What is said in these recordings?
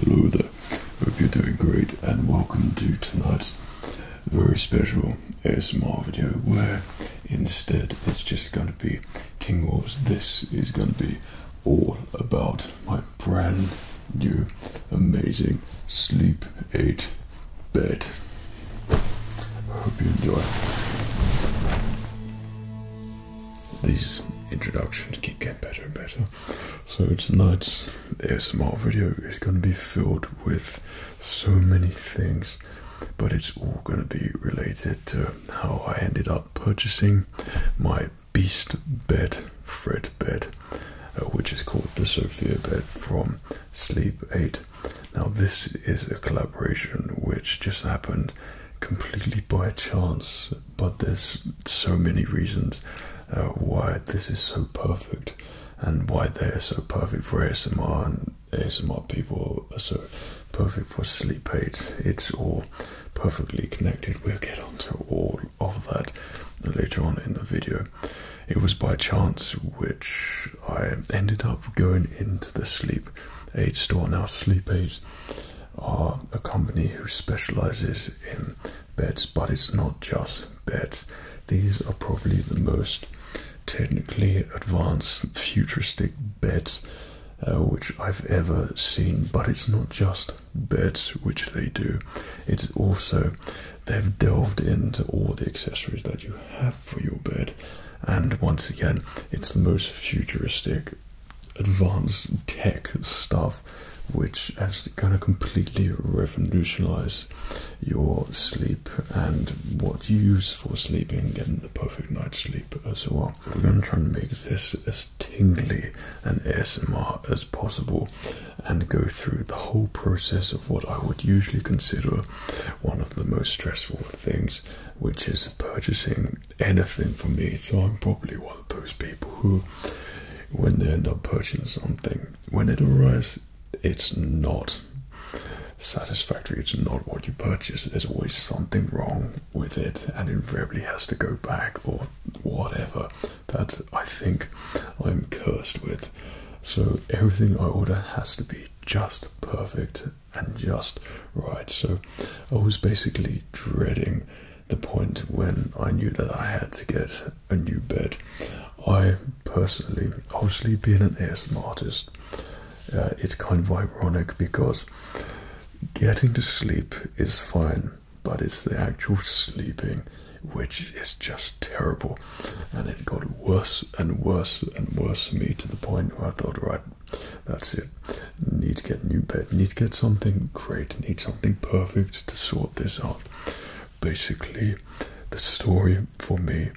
Hello there. Hope you're doing great and welcome to tonight's very special ASMR video where instead it's just going to be King Wars. This is going to be all about my brand new amazing Sleep 8 bed. Hope you enjoy. These introductions keep getting better and better. So tonight's small video is going to be filled with so many things, but it's all going to be related to how I ended up purchasing my Beast bed, Fred bed, uh, which is called the Sophia bed from Sleep 8. Now, this is a collaboration which just happened completely by chance, but there's so many reasons uh, why this is so perfect and why they are so perfect for ASMR and ASMR people are so perfect for sleep aids. It's all perfectly connected. We'll get onto all of that later on in the video. It was by chance which I ended up going into the sleep aid store. Now sleep aids are a company who specializes in beds, but it's not just beds. These are probably the most technically advanced futuristic beds uh, which I've ever seen, but it's not just beds which they do, it's also they've delved into all the accessories that you have for your bed, and once again, it's the most futuristic advanced tech stuff which actually kind of completely revolutionized your sleep and what you use for sleeping and the perfect night's sleep as well. We're going to try and make this as tingly and ASMR as possible and go through the whole process of what I would usually consider one of the most stressful things, which is purchasing anything for me. So I'm probably one of those people who, when they end up purchasing something, when it arrives, it's not satisfactory. It's not what you purchased. There's always something wrong with it, and invariably has to go back or whatever. That I think I'm cursed with. So everything I order has to be just perfect and just right. So I was basically dreading the point when I knew that I had to get a new bed. I personally, obviously, being an ASM artist, uh, it's kind of ironic because getting to sleep is fine, but it's the actual sleeping which is just terrible. And it got worse and worse and worse for me to the point where I thought, right, that's it. Need to get new bed. Need to get something great. Need something perfect to sort this out. Basically, the story for me,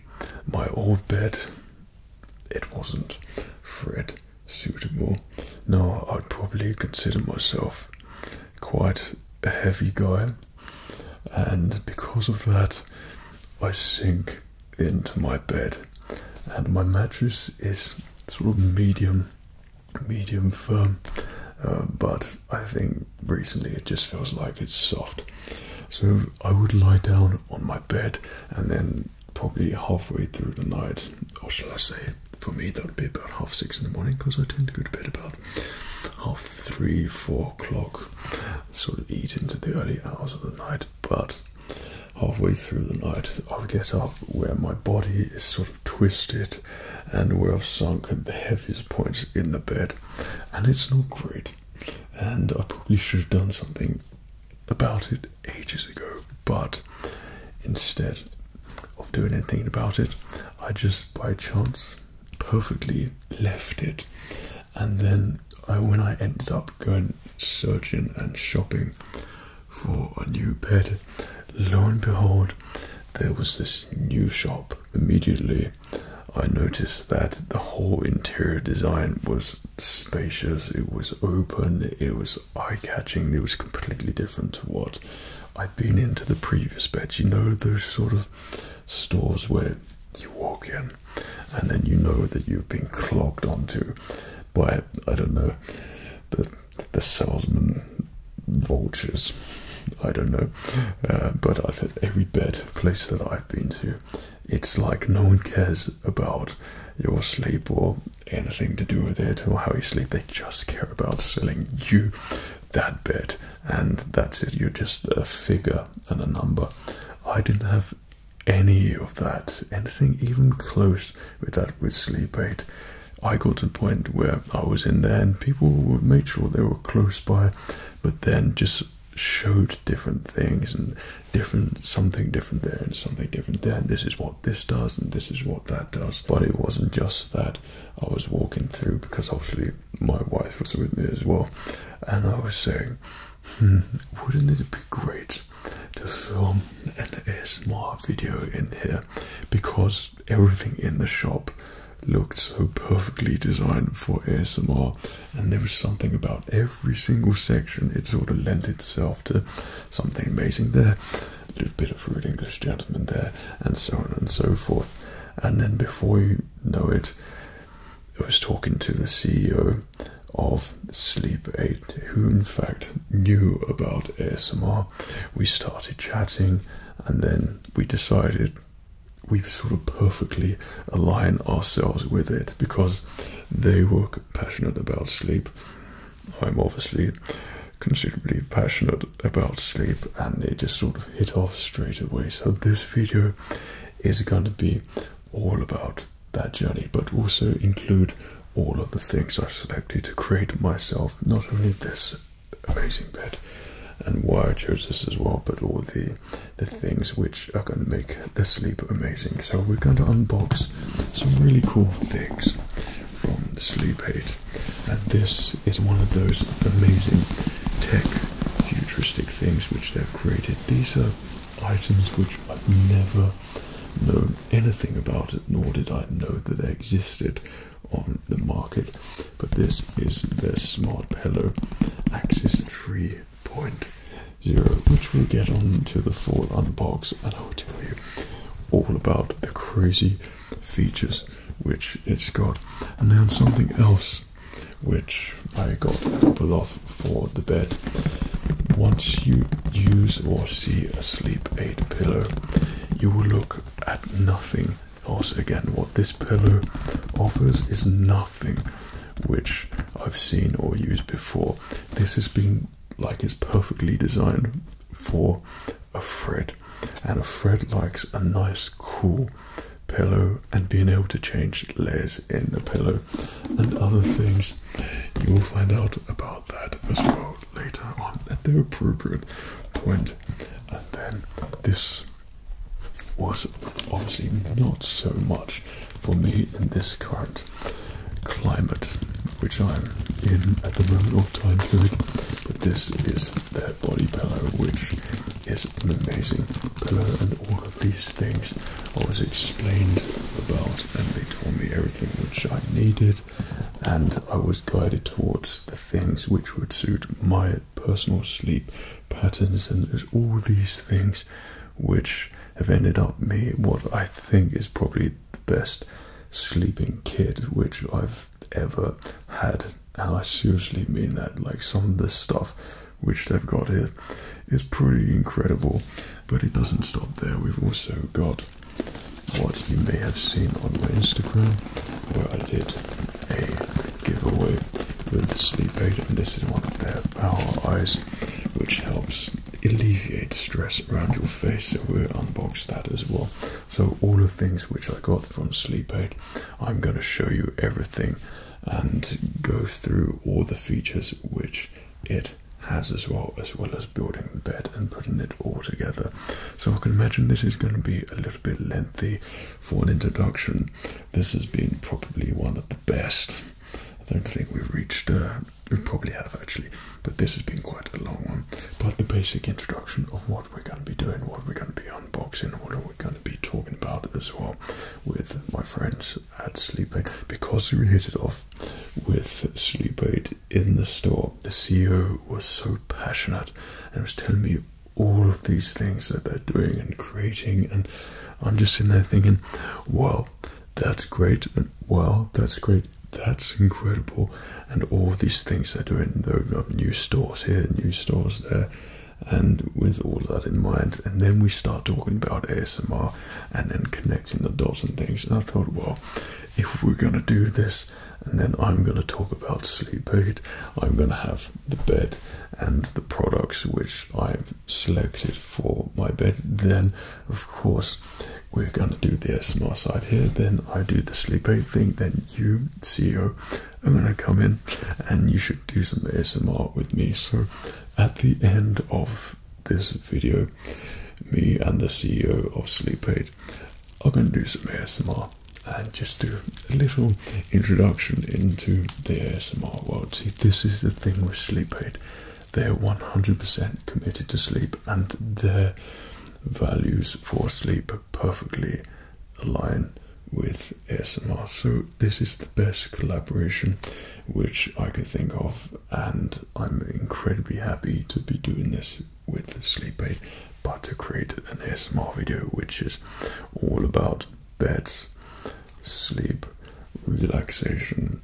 my old bed, it wasn't Fred suitable. No, I'd probably consider myself quite a heavy guy, and because of that, I sink into my bed, and my mattress is sort of medium medium firm, uh, but I think recently it just feels like it's soft. So I would lie down on my bed and then probably halfway through the night, or shall I say, for me that would be about half six in the morning because I tend to go to bed about half three, four o'clock, sort of eat into the early hours of the night. But halfway through the night, I would get up where my body is sort of twisted and where I've sunk at the heaviest points in the bed, and it's not great. And I probably should have done something about it ages ago, but instead of doing anything about it, I just by chance perfectly left it. And then when I ended up going searching and shopping for a new pet. Lo and behold, there was this new shop. Immediately, I noticed that the whole interior design was spacious, it was open, it was eye catching, it was completely different to what I'd been into the previous beds. You know, those sort of stores where you walk in and then you know that you've been clogged onto by, I don't know, the the salesman vultures. I don't know, uh, but I said every bed place that I've been to, it's like no one cares about your sleep or anything to do with it or how you sleep. They just care about selling you that bed, and that's it. You're just a figure and a number. I didn't have any of that, anything even close with that with sleep aid. I got to the point where I was in there and people would make sure they were close by, but then just showed different things and different something different there and something different there. this is what this does and this is what that does. But it wasn't just that I was walking through because obviously my wife was with me as well. And I was saying, hmm, wouldn't it be great to film um, an ASMR video in here because everything in the shop looked so perfectly designed for ASMR, and there was something about every single section, it sort of lent itself to something amazing there. A little bit of rude English gentleman there, and so on and so forth. And then before you know it, I was talking to the CEO of Sleep Aid, who in fact knew about ASMR, we started chatting, and then we decided we've sort of perfectly aligned ourselves with it because they were passionate about sleep. I'm obviously considerably passionate about sleep, and it just sort of hit off straight away. So, this video is going to be all about that journey, but also include all of the things I've selected to create myself not only this amazing bed and why I chose this as well, but all the the things which are going to make the sleep amazing. So we're going to unbox some really cool things from Sleep Aid, and this is one of those amazing tech futuristic things which they've created. These are items which I've never known anything about it, nor did I know that they existed on the market. But this is the Smart Pillow Axis 3.0, which we'll get on to the full unbox and I'll tell you all about the crazy features which it's got. And then something else which I got a couple of for the bed. Once you use or see a sleep aid pillow, you will look at nothing Also, again. What this pillow offers is nothing which I've seen or used before. This has been like it's perfectly designed for a Fred, and a Fred likes a nice, cool pillow and being able to change layers in the pillow and other things. You will find out about that as well later on at the appropriate point. And then this was obviously not so much for me in this current climate which I'm in at the moment or time period. But this is their body pillow, which is an amazing pillow, and all of these things I was explained about, and they told me everything which I needed and I was guided towards the things which would suit my personal sleep patterns. And there's all these things which have ended up me what I think is probably the best sleeping kit which I've ever had. And I seriously mean that. Like some of this stuff which they've got here is pretty incredible. But it doesn't stop there. We've also got what you may have seen on my Instagram, where I did a giveaway with sleep aid, and this is one of their power eyes, which helps alleviate stress around your face. So we'll unbox that as well. So all the things which I got from sleep aid, I'm going to show you everything and go through all the features which it has as well as well as building the bed and putting it all together. So I can imagine this is going to be a little bit lengthy for an introduction. This has been probably one of the best. I don't think we've reached, uh, we probably have actually, but this has been quite a long one. But the basic introduction of what we're going to be doing, what we're going to be unboxing, what are we going to be talking about as well with my friends at Sleep Aid because we hit it off with Sleep Aid in the store. The CEO was so passionate and was telling me all of these things that they're doing and creating, and I'm just sitting there thinking, wow, that's great, wow, that's great, that's incredible, and all these things they're doing. they new stores here, new stores there. And with all that in mind, and then we start talking about ASMR and then connecting the dots and things. And I thought, "Wow." if we're going to do this and then i'm going to talk about sleep aid i'm going to have the bed and the products which i've selected for my bed then of course we're going to do the smr side here then i do the sleep aid thing then you ceo i'm going to come in and you should do some SMR with me so at the end of this video me and the ceo of sleep aid I'm going to do some ASMR and just do a little introduction into the ASMR world. See, this is the thing with sleep aid. They're 100% committed to sleep and their values for sleep perfectly align with ASMR. So this is the best collaboration which I could think of and I'm incredibly happy to be doing this with sleep aid, but to create an ASMR video which is all about beds, sleep, relaxation,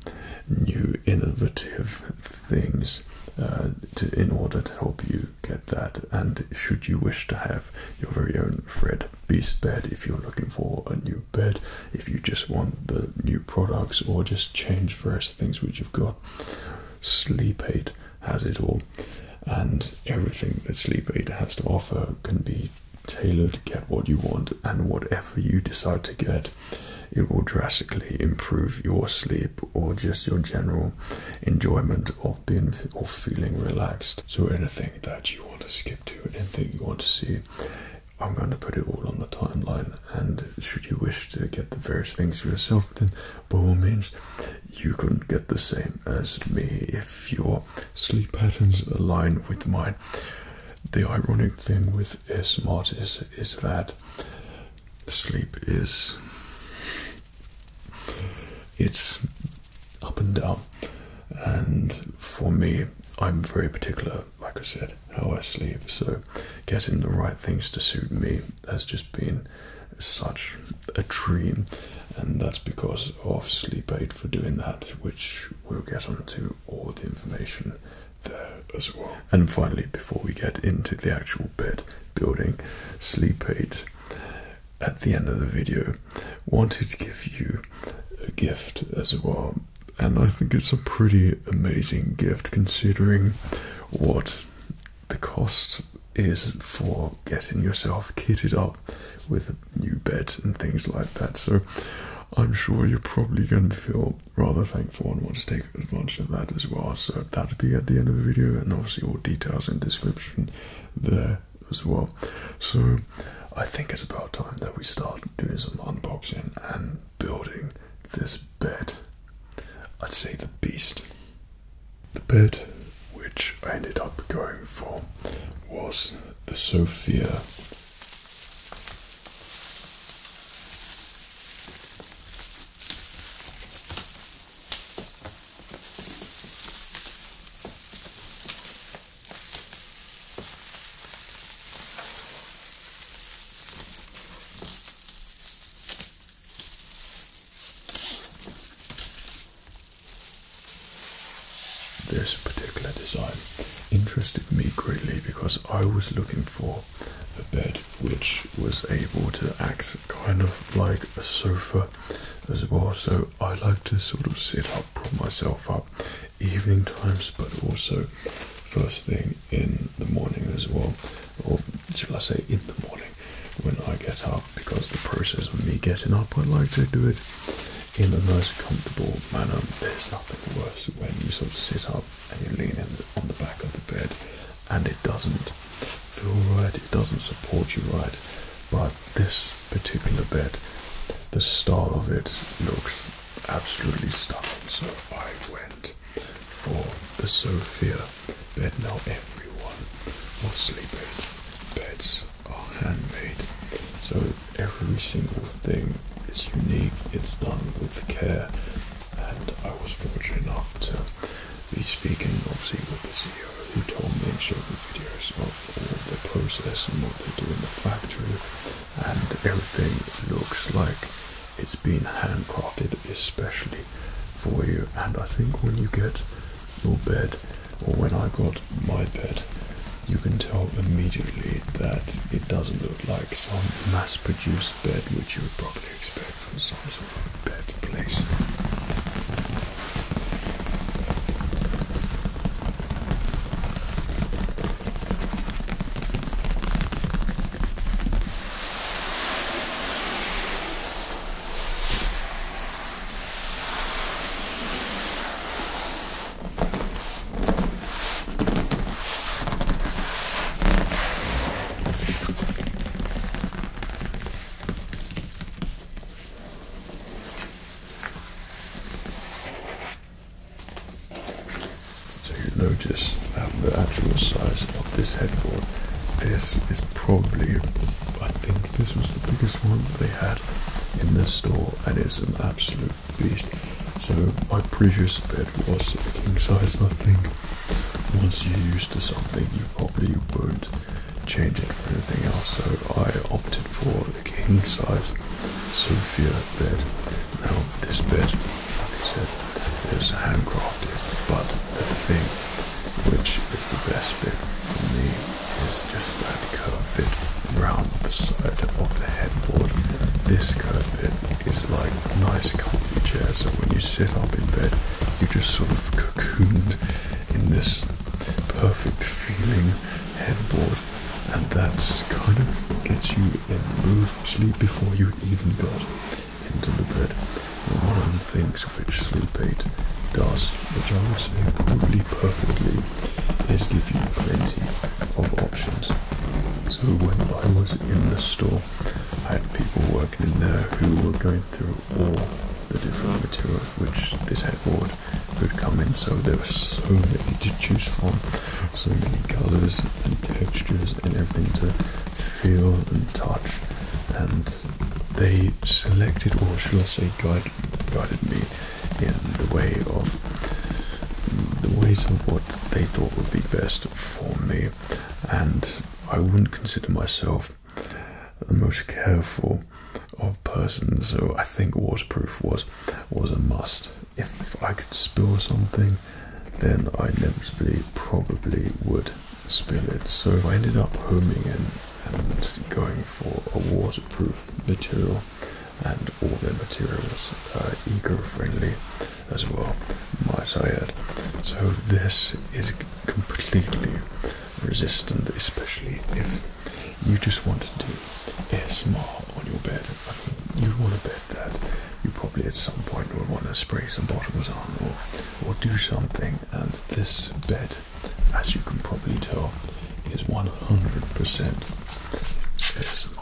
new innovative things uh, in order to help you get that. And should you wish to have your very own Fred Beast bed, if you're looking for a new bed, if you just want the new products or just change various things which you've got, Sleep Aid has it all, and everything that Sleep Aid has to offer can be tailored. Get what you want, and whatever you decide to get, it will drastically improve your sleep or just your general enjoyment of being or feeling relaxed. So, anything that you want to skip to, anything you want to see. I'm going to put it all on the timeline, and should you wish to get the various things for yourself, something by all means you can get the same as me if your sleep patterns align with mine the ironic thing with smart is is that sleep is it's up and down and for me i'm very particular like i said how i sleep so getting the right things to suit me has just been been such a dream, and that's because of Sleep Aid for doing that, which we'll get onto all the information there as well. And finally, before we get into the actual bed building, Sleep Aid at the end of the video wanted to give you a gift as well, and I think it's a pretty amazing gift considering what the cost is for getting yourself kitted up with a new bed and things like that. So I'm sure you're probably going to feel rather thankful and want to take advantage of that as well. So that'll be at the end of the video, and obviously all details in the description there as well. So I think it's about time that we start doing some unboxing and building this bed. I'd say the beast. The bed which I ended up going for was the Sophia. This particular design interested me greatly because I was looking for a bed which was able to act kind of like a sofa as well. So I like to sort of sit up, prop myself up evening times, but also first thing in the morning as well or shall I say in the morning when I get up because the process of me getting up I like to do it in the most comfortable manner. There's nothing worse when you sort of sit up and you lean in on the back of the bed and it doesn't feel right, it doesn't support you right. But this particular bed, the style of it looks absolutely stunning. So I went for the Sophia bed. Now everyone will sleep in beds are handmade, so every single thing is unique. It's done with care, and I was fortunate enough to be speaking, obviously, with the CEO who told me and showed me videos of all the process and what they do in the factory, and everything looks like it's been handcrafted, especially for you. And I think when you get your bed, or when I got my bed, you can tell immediately that it doesn't look like some mass produced bed which you would probably expect from some sort of bed place. So you notice that the actual size of this headboard, this is probably, I think this was the biggest one they had in this store and it's an absolute beast. So my previous bed was a king size I think. Once you're used to something you probably won't change it for anything else. So I opted for the king size Sophia bed. Now this bed, like I said, is handcrafted but the thing which is the best bit for me is just that curve bit round the side of the headboard. This curve bit is like a nice comfy chair so when you sit up in bed you just sort of cocooned in this perfect feeling headboard and that's kind of gets you in mood sleep before you even go to got into the bed. And one of the things which sleep aid does, which I would say probably perfectly, is give you plenty of options. So when I was in the store, I had people working in there who were going through all the different materials which this headboard could come in. So there were so many to choose from, so many colours and textures and everything to feel and touch and they selected, or shall I say, God guided me in the way of the ways of what they thought would be best for me. And I wouldn't consider myself the most careful of persons, so I think waterproof was was a must. If I could spill something, then I inevitably probably would spill so I ended up homing in and going for a waterproof material and all their materials are uh, eco-friendly as well, might I add. So this is completely resistant, especially if you just want to do ASMR on your bed. I mean, you want a bed that you probably at some point will want to spray some bottoms on or, or do something and this bed as you can probably tell, is 100% ASMR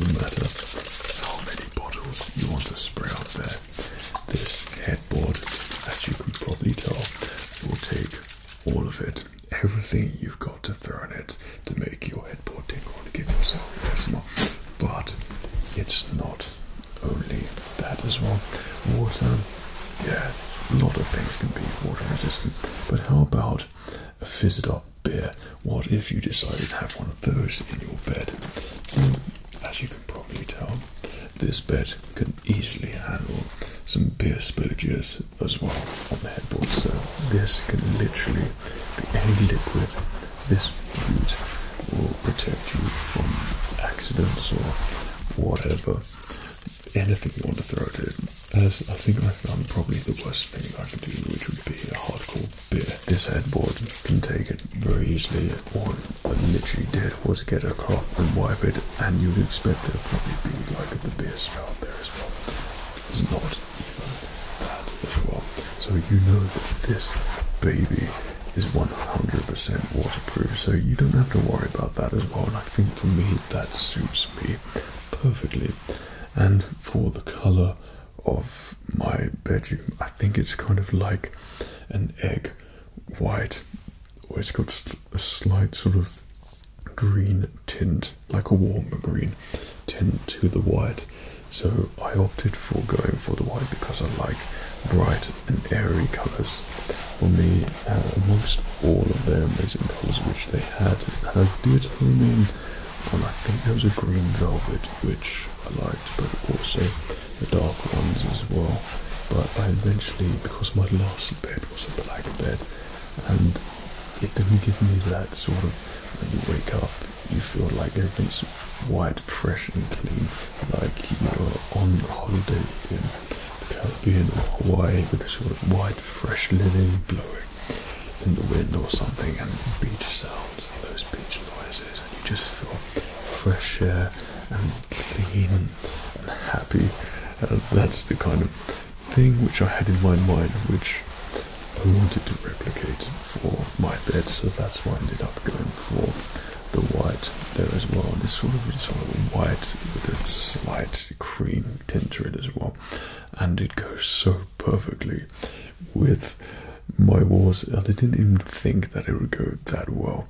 No matter how many bottles you want to spray out there, this headboard, as you can probably tell, will take all of it, everything you've got to throw in it to make your headboard tingle and give yourself a ASMR. But it's not only that as well. Water, yeah, a lot of things can be water resistant. But how about a fizzed up beer? What if you decided to have one of those in your bed? Hmm, as you can probably tell, this bed can easily handle some beer spillages as well on the headboard. So this can literally be any liquid this fuse will protect you from accidents or whatever. Anything you want to throw at it. As I think I found probably the worst thing I could do, which would be a hardcore beer. This headboard can take it very easily. What I literally did was get a cloth and wipe it, and you'd expect it to probably be like the beer spout there as well. It's not. Even that as well. So you know that this baby is 100% waterproof, so you don't have to worry about that as well. And I think for me, that suits me perfectly. And for the color of my bedroom, I think it's kind of like an egg white, or it's got a slight sort of green tint, like a warmer green Tint to the white. So I opted for going for the white because I like bright and airy colours. For me, amongst uh, all of their amazing colours which they had, I did home in on, I think there was a green velvet which I liked, but also the dark ones as well. But I eventually, because my last bed was a black bed, and it didn't give me that sort of when you wake up, you feel like everything's white, fresh, and clean, like you're on holiday in the Caribbean or Hawaii with a sort of white, fresh lily blowing in the wind or something, and beach sounds, and those beach noises, and you just feel fresh air and clean and happy. And that's the kind of thing which I had in my mind, which I wanted to replicate for my bed, so that's why I ended up going for the white there as well. And it's sort of a sort of white with a slight cream tint to it as well, and it goes so perfectly with my walls. I didn't even think that it would go that well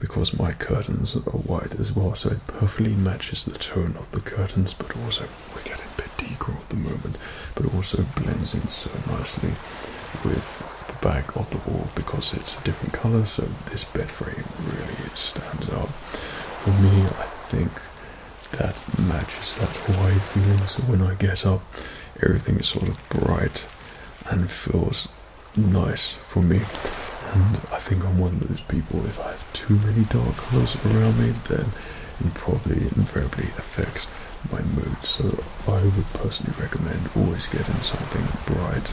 because my curtains are white as well, so it perfectly matches the tone of the curtains, but also we get a bit. Decor at the moment, but also blends in so nicely with the back of the wall because it's a different color. So this bed frame really stands out. For me, I think that matches that Hawaii feeling. So when I get up, everything is sort of bright and feels nice for me. And I think I'm one of those people, if I have too many dark colors around me, then it probably invariably affects my mood. So I would personally recommend always getting something bright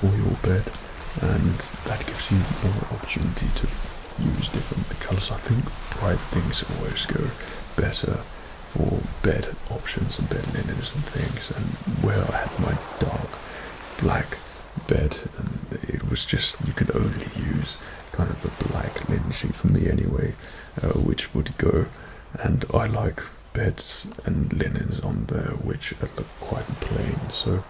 for your bed, and that gives you more opportunity to use different colours. I think bright things always go better for bed options and bed linens and things. And where I had my dark black bed, and it was just you could only use kind of a black linen for me anyway. Uh, which would go and I like beds and linens on there which look quite plain so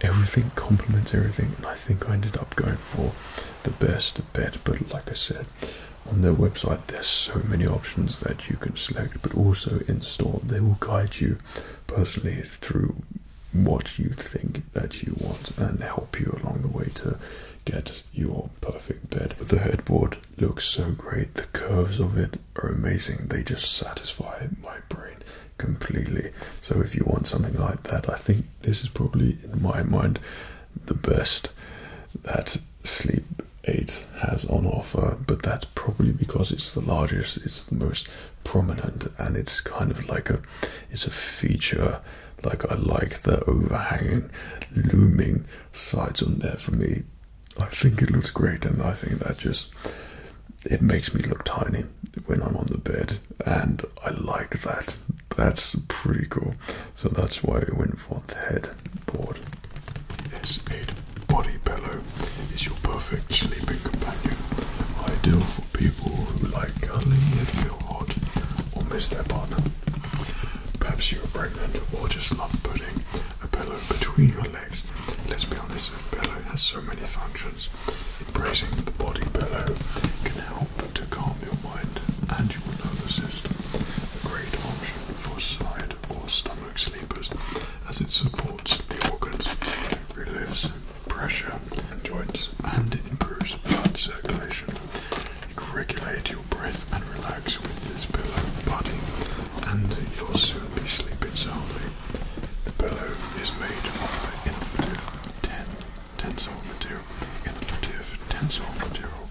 everything complements everything and I think I ended up going for the best bed but like I said on their website there's so many options that you can select but also in store they will guide you personally through what you think that you want and help you along the way to get your perfect bed. The headboard looks so great. The curves of it are amazing. They just satisfy my brain completely. So if you want something like that, I think this is probably, in my mind, the best that Sleep 8 has on offer. But that's probably because it's the largest, it's the most prominent, and it's kind of like a, it's a feature. Like I like the overhanging, looming Slides on there for me. I think it looks great, and I think that just it makes me look tiny when I'm on the bed, and I like that. That's pretty cool. So that's why we went for the headboard. S8 body pillow is your perfect sleeping companion, ideal for people who like cuddling and feel hot or miss their partner. Perhaps you are pregnant or just love putting a pillow between your legs. Let's be honest, a pillow has so many functions. Embracing the body pillow can help to calm your mind and your nervous system. A great option for side or stomach sleepers as it supports the organs, relieves pressure and joints, and it improves blood circulation. You can regulate your your and relax with this pillow body, and you'll soon be sleeping soundly. The pillow is made of innovative ten tensile material, innovative tensile material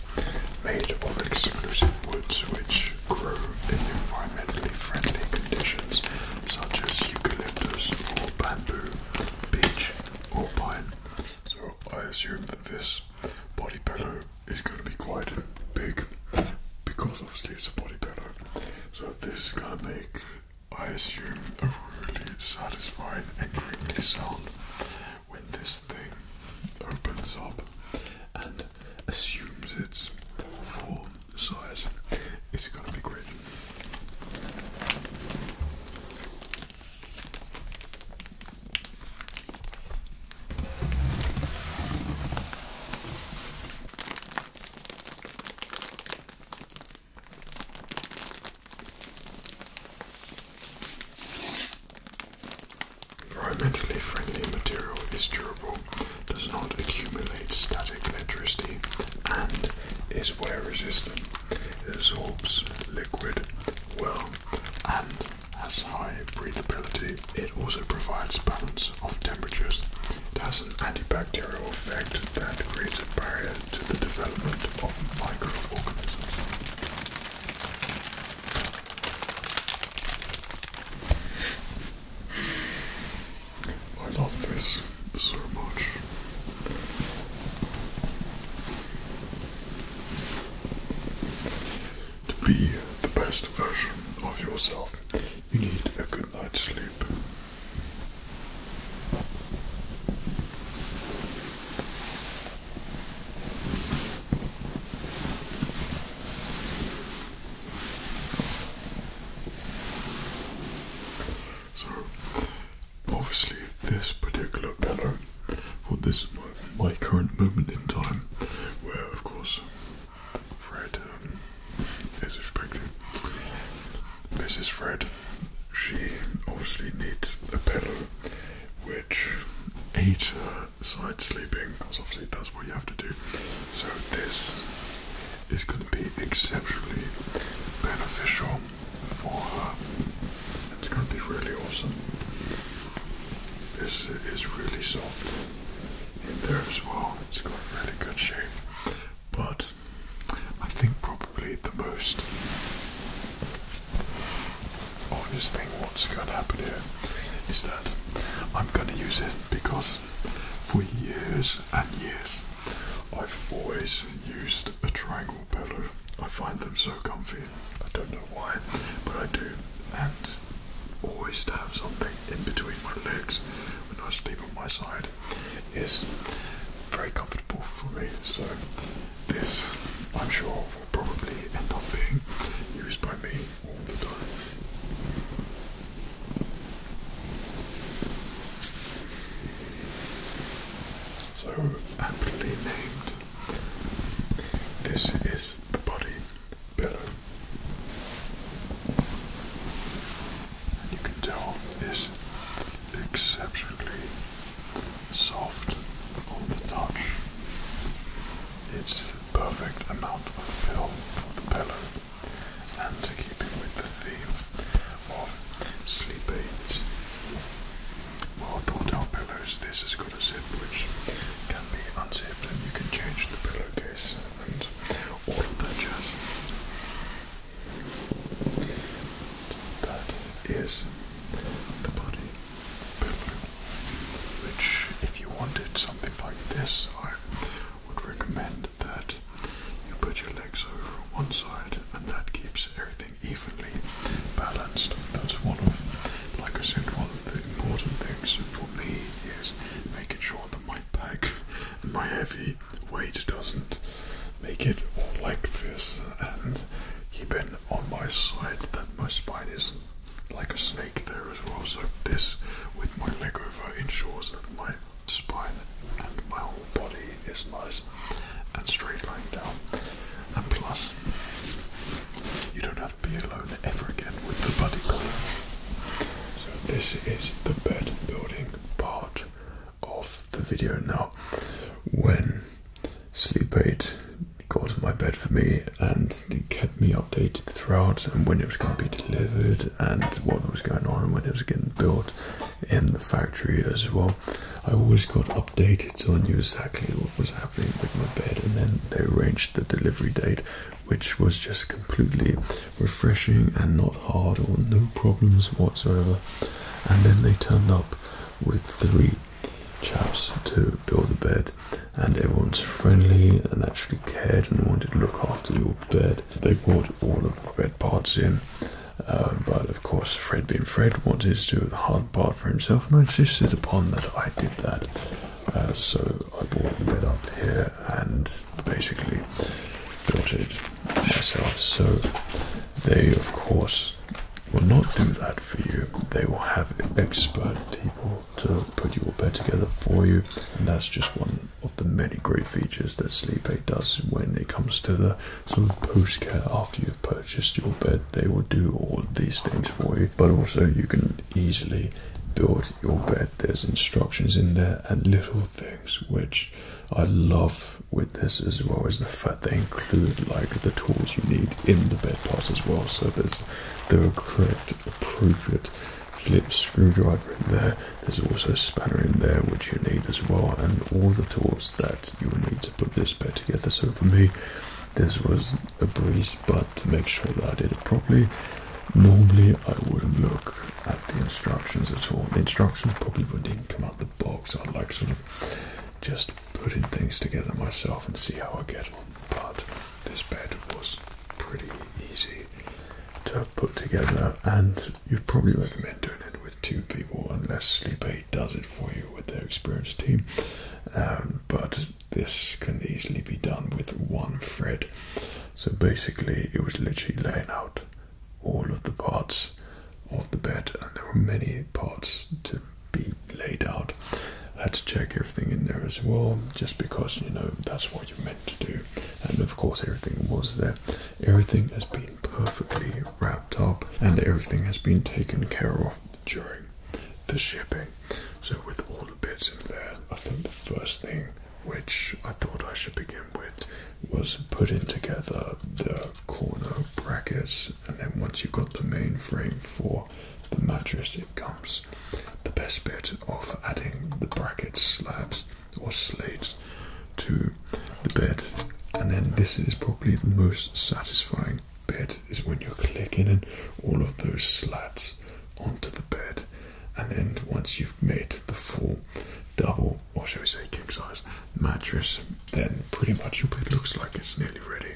made of exclusive woods which grow in environmentally friendly conditions such as eucalyptus or bamboo, beech or pine. So I assume that this body pillow is going to be quite big because obviously it's a body pillow. So this is going to make, I assume, a really satisfying and crinkly sound when this thing opens up and assumes its full size. It's going to be great. Environmentally friendly material is durable, does not accumulate static electricity, and is wear resistant. absorbs liquid well and has high breathability. It also provides balance of temperatures. It has an antibacterial effect that creates a barrier to the development of microorganisms. I love this so much. To be the best version of yourself, you need a good night's sleep. So, obviously, this particular pillow for this my current moment in time, where of course Fred, um, is as expected, Mrs. Fred, she obviously needs a pillow, which aids side sleeping, because obviously that's what you have to do. So this is going to be exceptionally beneficial for her. It's going to be really awesome. This is really soft in there as well. It's got a really good shape. But I think probably the most obvious thing what's going to happen here is that I'm going to use it because for years and years I've always used a triangle pillow. I find them so comfy. I don't know why, but I do. And always to have something in between my legs when I sleep on my side is very comfortable for me. So this, I'm sure, will probably end up being used by me all the time. So aptly named this is the body pillow. And you can tell it's exceptionally soft on the touch. It's the perfect amount of fill for the pillow and keeping with the theme of sleep aids well thought out pillows. This is got a zip which can be unzipped and you can change the pillowcase and all of that jazz. That is the body pillow, which if you wanted something like this, I would recommend that you put your legs over one side and that keeps everything evenly balanced. That's one of, like I said, one one of the important things for me is making sure that my pack and my heavy weight doesn't make it all like this and keeping on my side that my spine is like a snake there as well. So this with my leg over ensures that my spine and my whole body is nice and straight lying down. And plus you don't have be alone ever again with the body pillow. So this is the bed building part of the video now. When Sleep Aid got my bed for me and it kept me updated throughout and when it was going to be delivered and what was going on and when it was getting built in the factory as well. I always got updated stated, so I knew exactly what was happening with my bed, and then they arranged the delivery date, which was just completely refreshing and not hard or no problems whatsoever. And then they turned up with three chaps to build the bed, and everyone's friendly and actually cared and wanted to look after your bed. They brought all of the bed parts in. Uh, but of course, Fred being Fred wanted to do the hard part for himself, and I insisted upon that I did that. Uh, so I bought the bed up here and basically built it myself. So they, of course, will not do that for you. They will have expert people to put your bed together for you, and that's just one of the many great features that Sleep does when it comes to the sort of post care after you've purchased your bed. They will do all of these things for you, but also you can easily build your bed. There's instructions in there and little things which I love with this as well as the fact they include like the tools you need in the bed parts as well. So there's the correct appropriate Flip screwdriver in there. There's also a spanner in there which you need as well, and all the tools that you will need to put this bed together. So for me, this was a breeze but to make sure that I did it properly normally I wouldn't look at the instructions at all the instructions probably wouldn't even come out the box I like sort of just putting things together myself and see how I get on but this bed was pretty easy to put together and you'd probably recommend doing it with two people unless sleep aid does it for you with their experienced team um, but this can easily be done with one thread. So basically, it was literally laying out all of the parts of the bed, and there were many parts to be laid out. I had to check everything in there as well, just because you know that's what you're meant to do. And of course, everything was there. Everything has been perfectly wrapped up, and everything has been taken care of during the shipping. So, with all the bits in there, I think the first thing which I thought I should begin with was putting together the corner brackets, and then once you've got the main frame for the mattress, it comes. The best bit of adding the bracket slabs or slates to the bed, and then this is probably the most satisfying Bed is when you're clicking in all of those slats onto the bed, and then once you've made the full double, or shall we say king size mattress, then pretty much your bed looks like it's nearly ready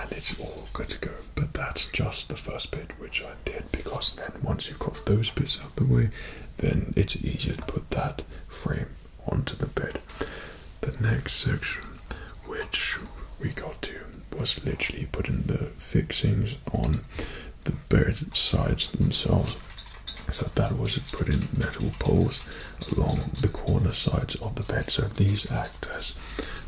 and it's all good to go. But that's just the first bit which I did because then once you've got those bits out the way, then it's easier to put that frame onto the bed. The next section, which we got to was literally putting the fixings on the bed sides themselves. So that was putting metal poles along the corner sides of the bed. So these act as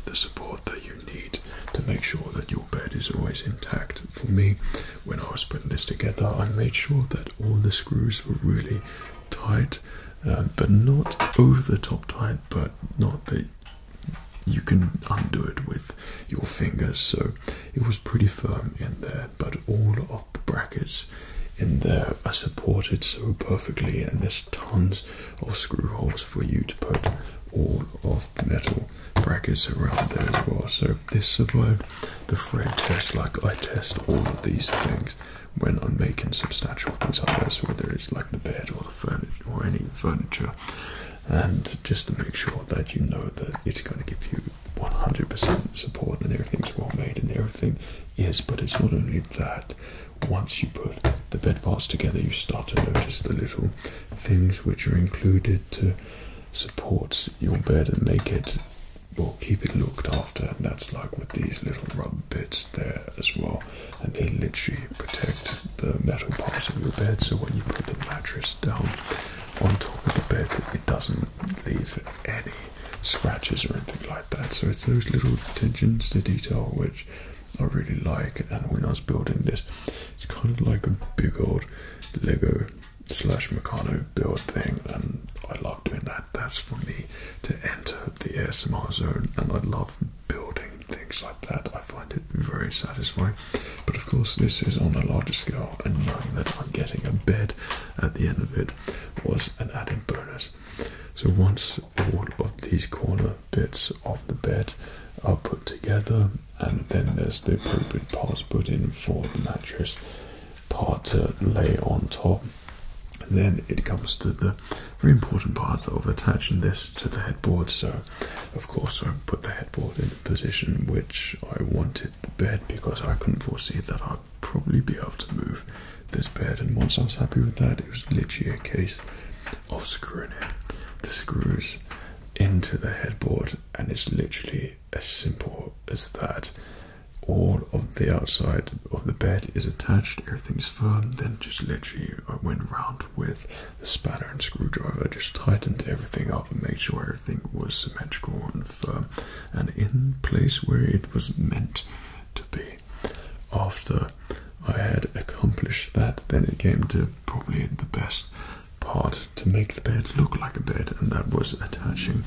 the support that you need to make sure that your bed is always intact. For me, when I was putting this together, I made sure that all the screws were really tight, um, but not over the top tight, but not the you can undo it with your fingers. So it was pretty firm in there, but all of the brackets in there are supported so perfectly, and there's tons of screw holes for you to put all of the metal brackets around there as well. So this survived the thread test. Like I test all of these things when I'm making substantial things like this, whether it's like the bed or furniture or any furniture and just to make sure that you know that it's going to give you 100% support and everything's well made and everything is but it's not only that once you put the bed parts together you start to notice the little things which are included to support your bed and make it or keep it looked after and that's like with these little rub bits there as well, and they literally protect the metal parts of your bed. So when you put the mattress down on top of the bed, it doesn't leave any scratches or anything like that. So it's those little attention to detail which I really like. And when I was building this, it's kind of like a big old Lego slash Meccano build thing, and I love doing that. That's for me to enter the ASMR zone, and I love building and things like that. I find it very satisfying. But of course, this is on a larger scale, and knowing that I'm getting a bed at the end of it was an added bonus. So once all of these corner bits of the bed are put together, and then there's the appropriate parts put in for the mattress part to lay on top. Then it comes to the very important part of attaching this to the headboard. So of course, I put the headboard in the position which I wanted the bed because I couldn't foresee that I'd probably be able to move this bed. And once I was happy with that, it was literally a case of screwing in the screws into the headboard, and it's literally as simple as that. All of the outside of the bed is attached, everything's firm. Then, just literally, I went round with the spanner and screwdriver, just tightened everything up and made sure everything was symmetrical and firm and in place where it was meant to be. After I had accomplished that, then it came to probably the best part to make the bed look like a bed, and that was attaching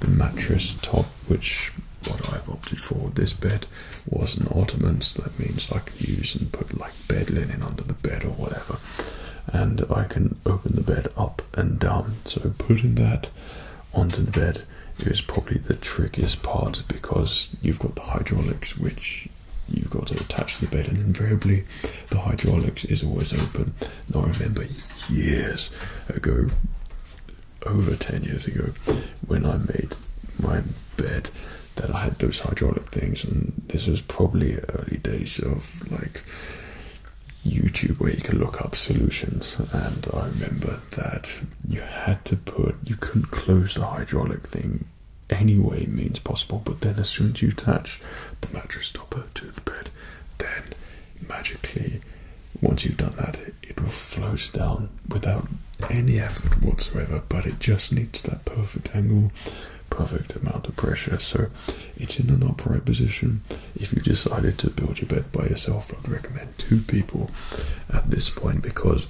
the mattress top, which what I've opted for. This bed was an ottoman, so that means I can use and put like bed linen under the bed or whatever. And I can open the bed up and down. So putting that onto the bed is probably the trickiest part because you've got the hydraulics which you've got to attach to the bed and invariably the hydraulics is always open. Now I remember years ago over 10 years ago when I made my bed that I had those hydraulic things, and this was probably early days of like YouTube where you can look up solutions. And I remember that you had to put, you couldn't close the hydraulic thing any way means possible, but then as soon as you attach the mattress stopper to the bed, then magically, once you've done that, it will float down without any effort whatsoever, but it just needs that perfect angle perfect amount of pressure. So it's in an upright position. If you decided to build your bed by yourself, I'd recommend two people at this point because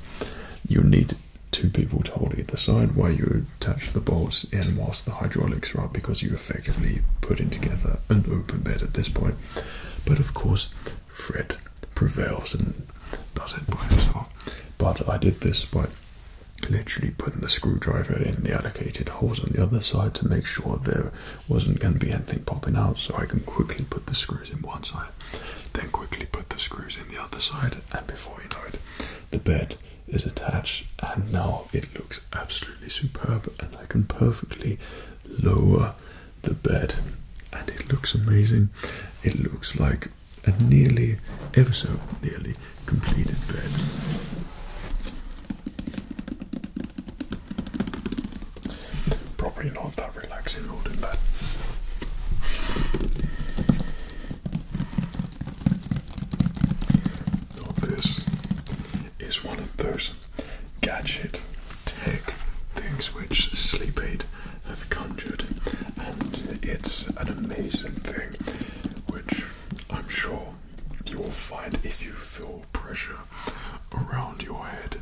you need two people to hold either side while you attach the bolts in whilst the hydraulics are because you effectively putting together an open bed at this point. But of course, Fred prevails and does it by himself. But I did this by literally putting the screwdriver in the allocated holes on the other side to make sure there wasn't going to be anything popping out so I can quickly put the screws in one side then quickly put the screws in the other side and before you know it the bed is attached and now it looks absolutely superb and I can perfectly lower the bed and it looks amazing it looks like a nearly, ever so nearly completed bed. Probably not that relaxing holding that. Now this is one of those gadget tech things which sleep aid have conjured, and it's an amazing thing which I'm sure you will find if you feel pressure around your head,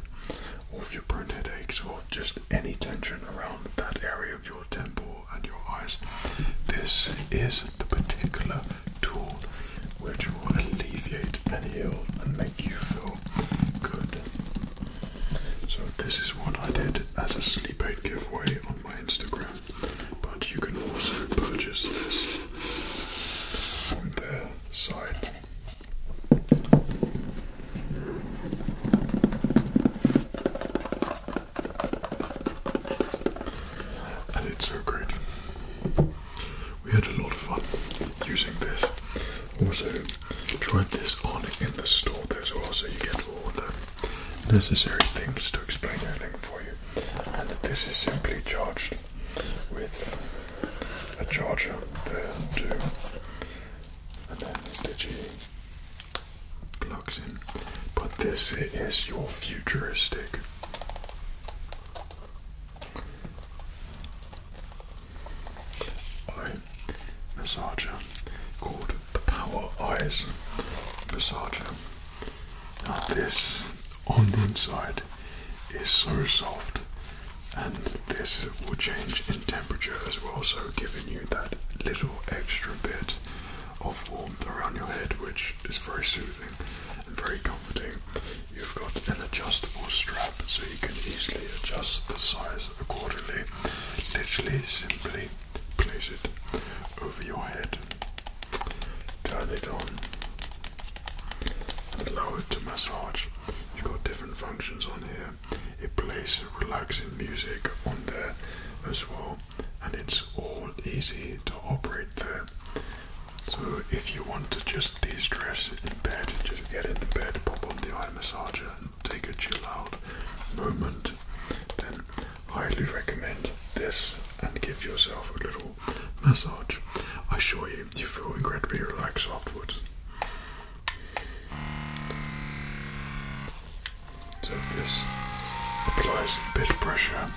or if you're prone headaches, or just any tension around that area of your temple and your eyes. This is the particular tool which will alleviate and heal and make you feel good. So, this is what I did as a sleep aid giveaway my Instagram, but you can also purchase this on their site. And it's so great. We had a lot of fun using this. Also, tried this on in the store there as well, so you get all of them necessary things to explain everything for you. And this is simply charged with a charger there And then the G plugs in. But this is your futuristic. I massager called power eyes massage. Now this on the inside is so soft and this will change in temperature as well so giving you that little extra bit of warmth around your head which is very soothing and very comforting. You've got an adjustable strap so you can easily adjust the size accordingly. Literally simply place it over your head, turn it on, and allow it to massage. You've got different functions on here. It plays relaxing music on there as well, and it's all easy to operate there. So if you want to just de-stress in bed, just get into bed, pop on the eye massager, and take a chill out moment, then highly recommend this and give yourself a little massage. I assure you, you feel incredibly relaxed afterwards. So this applies a bit of pressure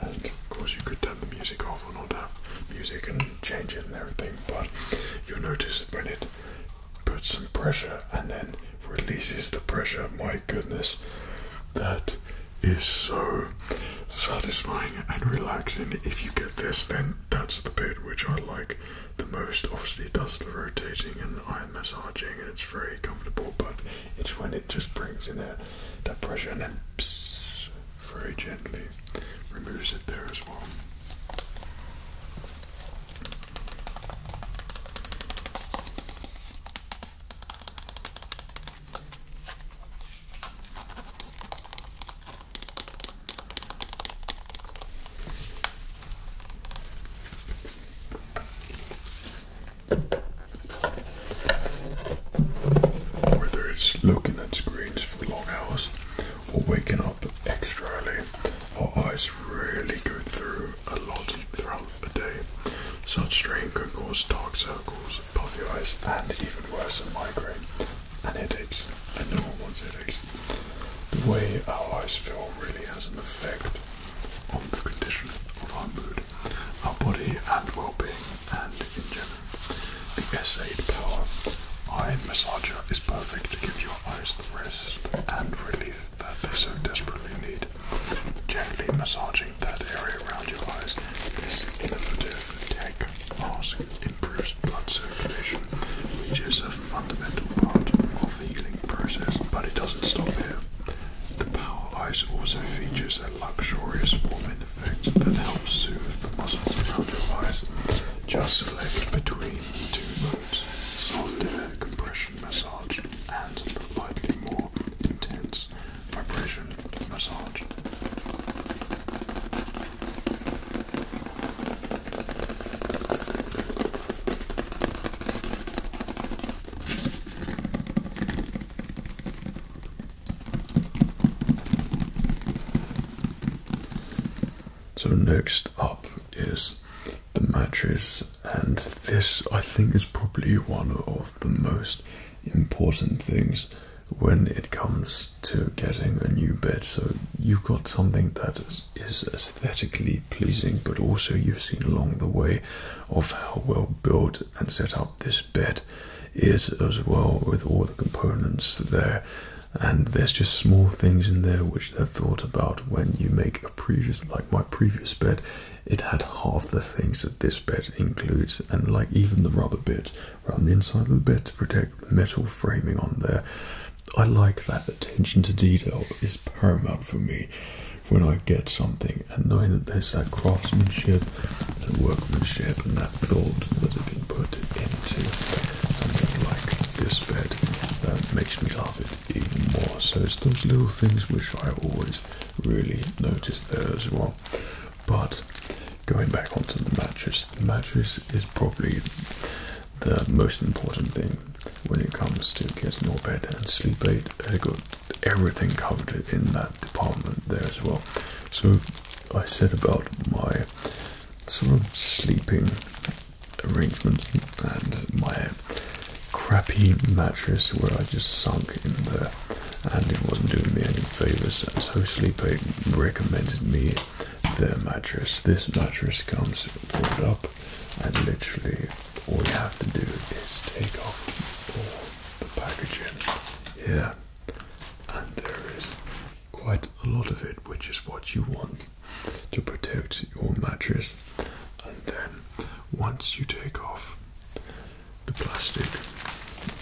of course, you could turn the music off or not have music and change it and everything, but you'll notice when it puts some pressure and then releases the pressure, my goodness, that is so satisfying and relaxing. If you get this, then that's the bit which I like the most. Obviously, it does the rotating and iron massaging, and it's very comfortable, but it's when it just brings in a, that pressure and then very gently removes it there as well. Whether it's looking at screens for long hours or waking up extra early, our eyes really go through a lot throughout the day. Such strain can cause dark circles, puffy eyes, and even worse, a migraine and headaches. And no one wants headaches. The way our eyes feel really has an effect on the condition of our mood our body and well-being and in general. The S8 Power Eye Massager is perfect to give your eyes the rest and relief that they so desperately need. Gently massaging that area around your eyes, this innovative tech mask improves blood circulation, which is a fundamental part of the healing process, but it doesn't stop here. The power ice also features a luxurious warming effect that helps soothe the muscles around your eyes. Just select between two modes, soft air compression massage and the slightly more intense vibration massage. So next up is the mattress and this I think is probably one of the most important things when it comes to getting a new bed. So you've got something that is aesthetically pleasing but also you've seen along the way of how well built and set up this bed is as well with all the components there and there's just small things in there which they've thought about when you make a previous like my previous bed it had half the things that this bed includes and like even the rubber bits around the inside of the bed to protect the metal framing on there i like that attention to detail is paramount for me when I get something and knowing that there's that craftsmanship, that workmanship, and that thought that has been put into something like this bed, that makes me love it even more. So it's those little things which I always really notice there as well. But going back onto the mattress, the mattress is probably the most important thing when it comes to getting your bed and sleep aid at good everything covered in that department there as well. So I said about my sort of sleeping arrangements and my crappy mattress where I just sunk in there and it wasn't doing me any favors and so Sleep Aid recommended me their mattress. This mattress comes pulled up and literally all you have to do is take off all the packaging here, and there is quite a lot of it, which is what you want to protect your mattress. And then, once you take off the plastic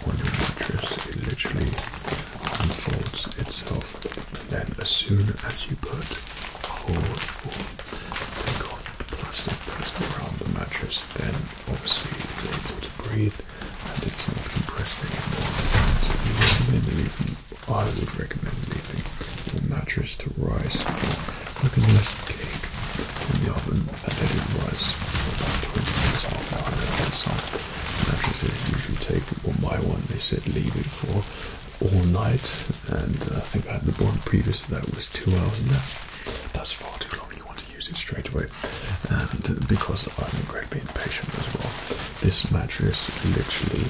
on your mattress, it literally unfolds itself. And then, as soon as you put a hole Take off the plastic that's around the mattress, then obviously it's able to breathe and it's not compressed anymore. So you recommend leaving, I would recommend leaving The mattress to rise Look at this cake in the oven and let it rise for about 20 minutes, half an mattress, some you should take, well my one they said leave it for all night and uh, I think I had the one previous that was two hours and that's that's far too long. You want to use it straight away, and because I'm being patient as well, this mattress literally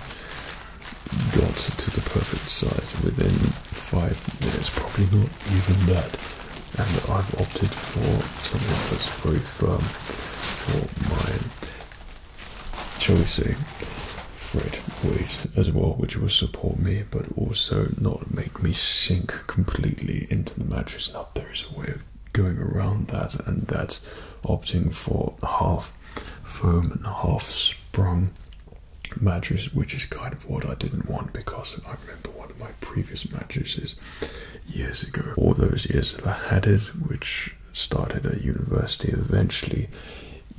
got to the perfect size within five minutes, probably not even that. And I've opted for something that's very firm for mine. Shall Fred weight as well, which will support me, but also not make me sink completely into the mattress. Now, there is a way of going around that, and that's opting for half foam and half sprung mattress, which is kind of what I didn't want because I remember one of my previous mattresses years ago. All those years that I had it, which started at university, eventually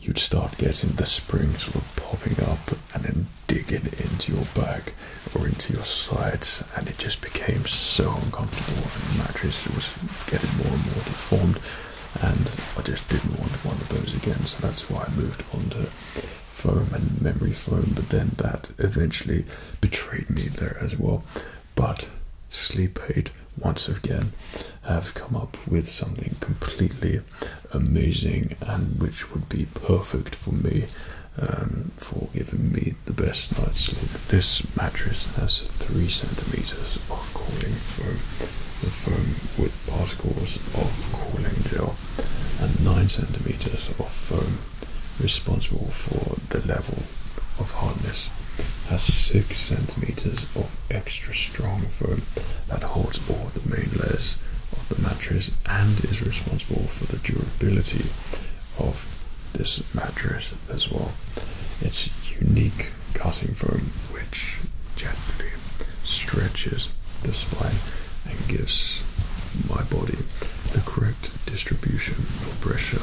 you'd start getting the springs sort of popping up and then digging into your back or into your sides, and it just became so uncomfortable. And the mattress was getting more and more deformed, and I just didn't want one of those again. So that's why I moved onto foam and memory foam. But then that eventually betrayed me there as well. But Sleep Aid once again have come up with something completely amazing and which would be perfect for me um, for giving me the best night's sleep. This mattress has three centimeters of cooling foam, the foam with particles of cooling gel, and nine centimeters of foam responsible for the level of hardness has six centimeters of extra strong foam that holds all the main layers of the mattress and is responsible for the durability of this mattress as well. It's unique cutting foam which gently stretches the spine and gives my body the correct distribution of pressure.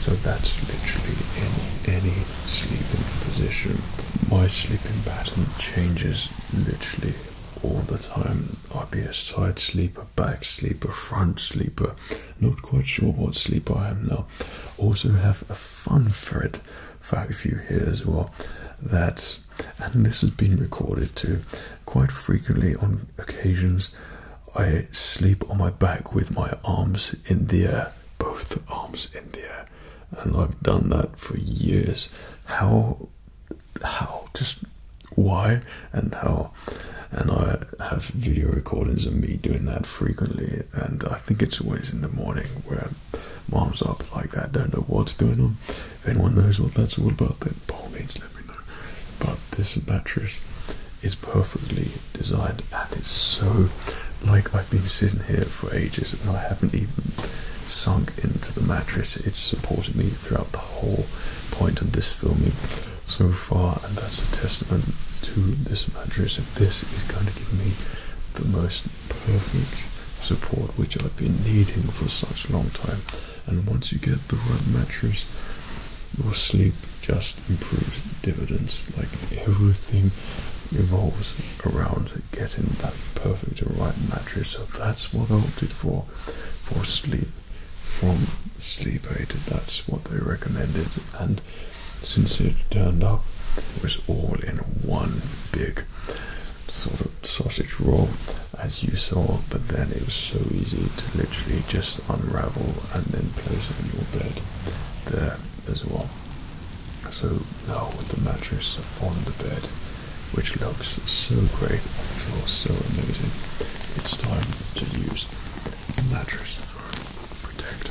So that's literally in any sleeping position. My sleeping pattern changes literally all the time. I'd be a side sleeper, back sleeper, front sleeper. Not quite sure what sleeper I am now. Also have a fun thread fact for you here as well. That and this has been recorded too. Quite frequently on occasions I sleep on my back with my arms in the air. Both arms in the air. And I've done that for years. How how just why and how and i have video recordings of me doing that frequently and i think it's always in the morning where mom's up like that don't know what's going on if anyone knows what that's all about then by all let me know but this mattress is perfectly designed and it's so like i've been sitting here for ages and i haven't even sunk into the mattress it's supporting me throughout the whole point of this filming so far, and that's a testament to this mattress. This is going to give me the most perfect support which I've been needing for such a long time. And once you get the right mattress, your sleep just improves dividends. Like everything evolves around getting that perfect right mattress. So that's what I opted for for sleep from sleep aid. That's what they recommended, and since it turned up, it was all in one big sort of sausage roll, as you saw. But then it was so easy to literally just unravel and then place it in your bed there as well. So now with the mattress on the bed which looks so great, feels so amazing. It's time to use a mattress protector.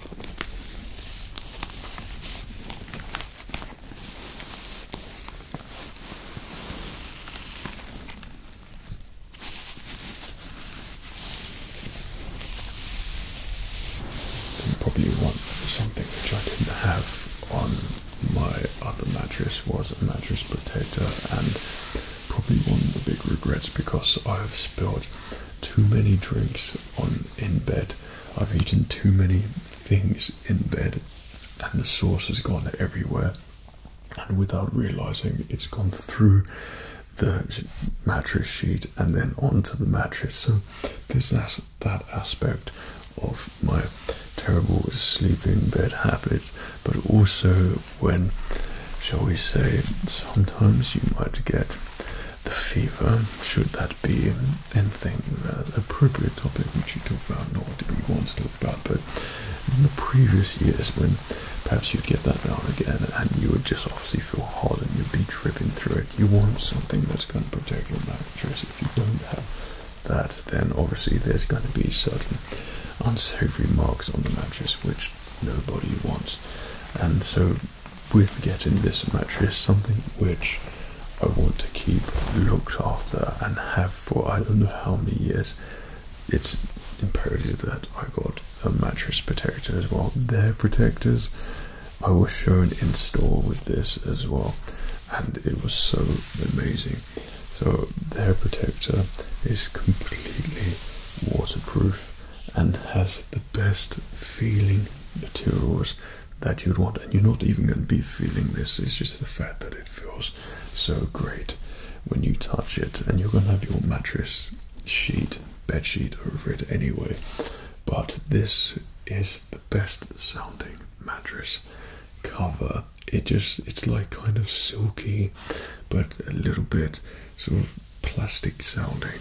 probably one something which I didn't have on my other mattress was a mattress protector and probably one of the big regrets because I have spilled too many drinks on in bed I've eaten too many things in bed and the sauce has gone everywhere. And without realizing, it's gone through the mattress sheet and then onto the mattress. So there's that aspect of my terrible sleeping bed habit, but also when, shall we say, sometimes you might get the fever, should that be anything uh, appropriate topic which you talk about, not what we want to talk about, but in the previous years when perhaps you'd get that down again and you would just obviously feel hot and you'd be dripping through it, you want something that's going to protect your mattress. If you don't have that, then obviously there's going to be certain unsavory marks on the mattress which nobody wants. And so with getting this mattress, something which I want to keep looked after and have for I don't know how many years, it's imperative that I got a mattress protector as well. Their protectors I was shown in store with this as well, and it was so amazing. So, their protector is completely waterproof and has the best feeling materials that you'd want and you're not even going to be feeling this it's just the fact that it feels so great when you touch it and you're going to have your mattress sheet bed sheet over it anyway but this is the best sounding mattress cover it just it's like kind of silky but a little bit sort of plastic sounding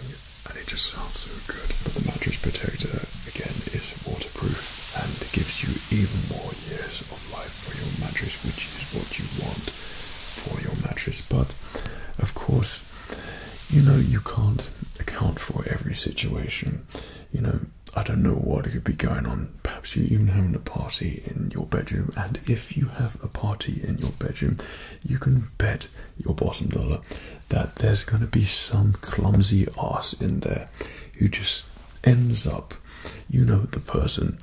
and it just sounds so good. But The mattress protector again is waterproof and gives you even more years of life for your mattress, which is what you want for your mattress. But of course, you know, you can't account for every situation. You know, I don't know what could be going on. Perhaps you're even having a party in your bedroom, and if you have a party in your bedroom, you can bet your bottom dollar that there's going to be some clumsy ass in there who just ends up, you know, the person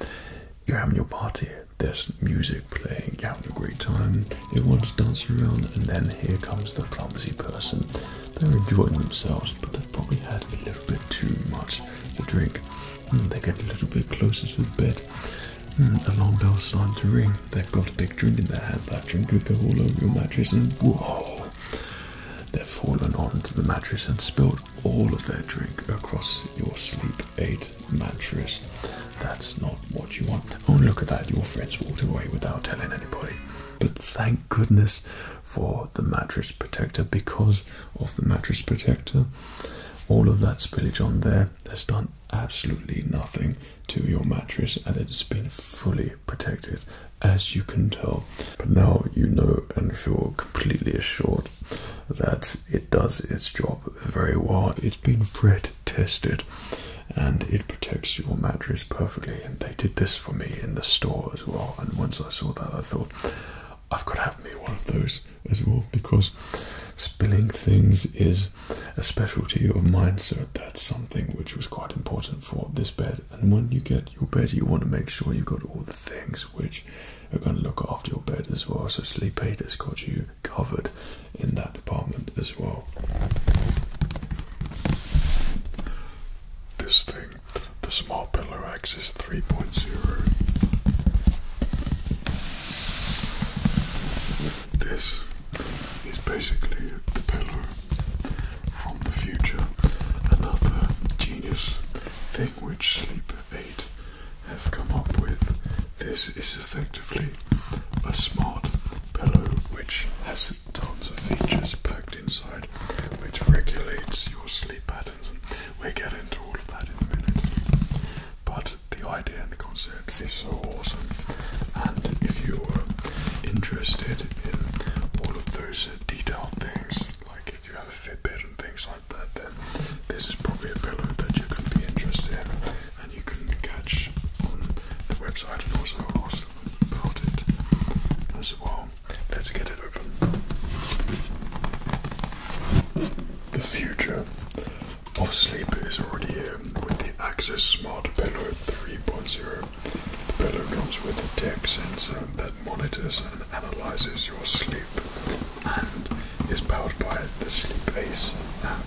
you're having your party, there's music playing, you're having a great time, everyone's dancing around, and then here comes the clumsy person. They're enjoying themselves, but they've probably had a little bit too much to drink. Hmm, they get a little bit closer to the bed. the hmm, alarm bells starting to ring. They've got a big drink in their hand. That drink could go all over your mattress and whoa! They've fallen onto the mattress and spilled all of their drink across your sleep aid mattress. That's not what you want. Oh, look at that. Your friends walked away without telling anybody. But thank goodness for the mattress protector because of the mattress protector all of that spillage on there has done absolutely nothing to your mattress and it has been fully protected as you can tell. But now you know and feel completely assured that it does its job very well. It's been thread tested and it protects your mattress perfectly. And they did this for me in the store as well. And once I saw that, I thought I've got to have me one of those as well because spilling things is a specialty of mine, so that's something which was quite important for this bed. And when you get your bed, you want to make sure you've got all the things which are going to look after your bed as well. So Sleep Aid has got you covered in that department as well. This thing, the small Pillow axis 3.0. This is basically the pillow from the future. Another genius thing which Sleep Aid have come up with. This is effectively a smart pillow which has tons of features packed inside which regulates your sleep patterns. We'll get into all of that in a minute. But the idea and the concept it's so awesome. And if you're interested in all of those detailed things, like if you have a Fitbit and things like that, then this is probably a pillow that you can be interested in and you can catch on the website and also ask about it as well. Let's get it open. The future of sleep is already here with the Axis Smart Pillow 3.0 the pillow comes with a tech sensor that monitors and analyzes your sleep and is powered by the Sleep Ace app.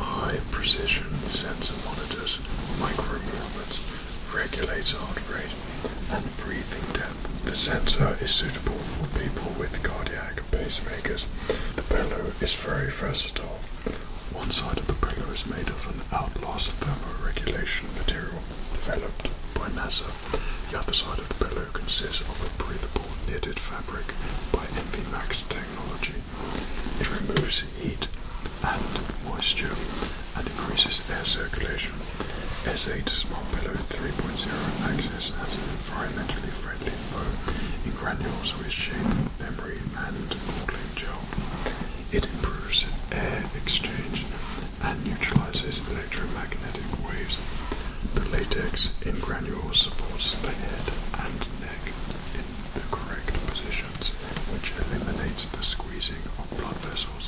High precision sensor monitors micro movements, regulates heart rate and breathing depth. The sensor is suitable for people with cardiac pacemakers. The pillow is very versatile, one side of the pillow is made of an outlast thermoregulation material developed by NASA. The other side of the pillow consists of a breathable knitted fabric by MVMAX technology. It removes heat and moisture and increases air circulation. S8 Smart Pillow 3.0 Access has an environmentally friendly foam in granules with shape, memory, and modeling gel. It improves air exchange and neutralizes electromagnetic waves. The latex in granules supports the head and neck in the correct positions, which eliminates the squeezing of blood vessels.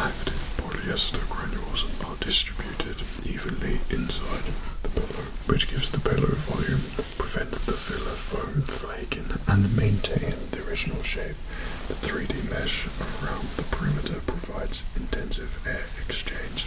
Active polyester granules are distributed evenly inside the pillow, which gives the pillow volume prevented the filler from flaking and maintained the original shape. The 3D mesh around the perimeter provides intensive air exchange.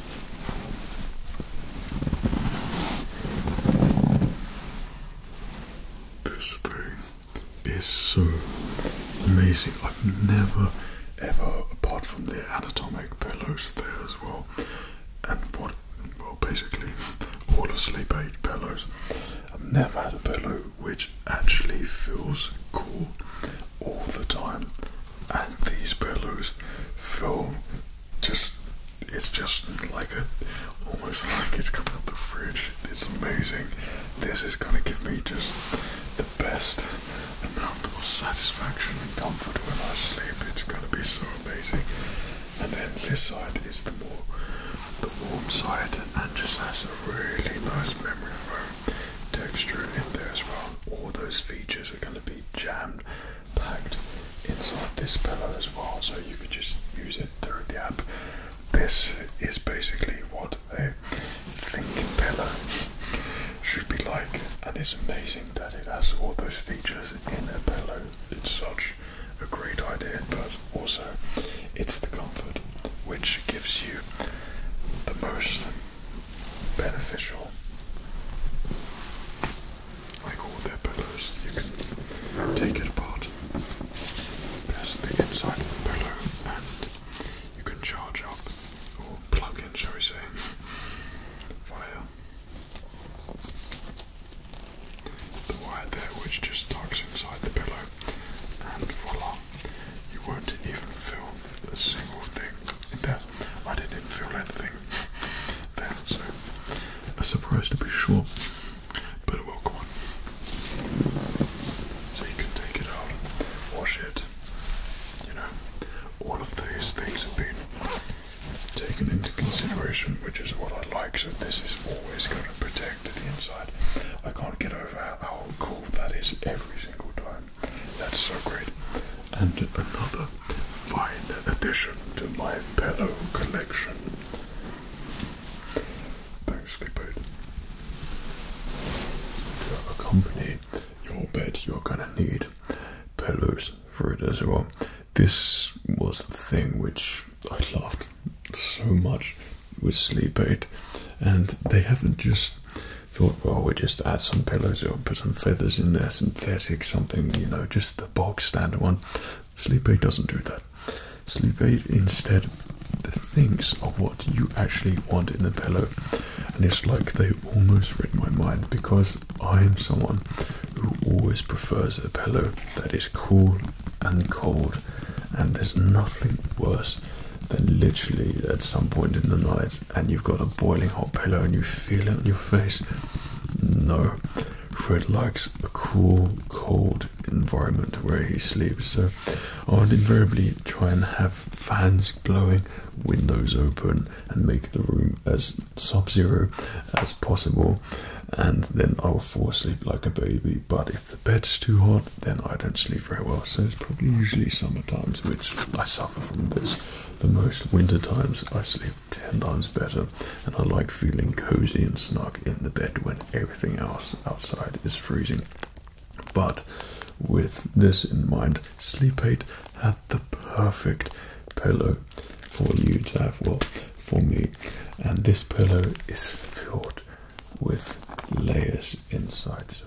This thing is so amazing. I've never, ever, apart from the anatomic pillows there as well, and what, well, basically all the sleep aid pillows, I've never had a pillow which actually feels cool all the time. And these pillows feel just it's just like a almost like it's coming out the fridge. It's amazing. This is gonna give me just the best amount of satisfaction and comfort when I sleep. It's gonna be so amazing. And then this side is the more the warm side and just has a really nice memory foam texture in there as well. All those features are gonna be jammed tagged inside this pillow as well, so you could just use it through the app. This is basically what a thinking pillow should be like, and it's amazing that it has all those features in a pillow. It's such a great idea, but also it's the comfort which gives you the most beneficial like all their pillows, you can take it apart. There's the inside of the pillow, and you can charge up or plug in, shall we say, via the wire there, which just tucks inside the pillow, and voila, you won't even feel a single thing in there. I didn't feel anything then, so a surprise to be sure, but a welcome one. So you can take it out, wash it, you know, all of these things have been taken into consideration, which is what I like, so this is always going to protect the inside. I can't get over how cool that is every single time. That's so great. And another fine addition to my pillow collection. Thanks, Sleep Aid. To accompany your bed, you're gonna need pillows for it as well. This was the thing which I loved so much with Sleep Aid, and they haven't just thought, well, we just add some pillows or put some feathers in there, synthetic something, you know, just the bog standard one. Sleep aid doesn't do that. Sleep aid instead thinks of what you actually want in the pillow, and it's like they almost read my mind because I am someone who always prefers a pillow that is cool and cold, and there's nothing worse than literally at some point in the night and you've got a boiling hot pillow and you feel it on your face. No, Fred likes a cool, cold environment where he sleeps, so I would invariably try and have fans blowing, windows open, and make the room as sub zero as possible. And then I will fall asleep like a baby. But if the bed's too hot, then I don't sleep very well. So it's probably usually summer times which I suffer from this. The most winter times I sleep ten times better and I like feeling cozy and snug in the bed when everything else outside is freezing. But with this in mind, Sleep Aid had the perfect pillow for you to have, well, for me. And this pillow is filled with layers inside. So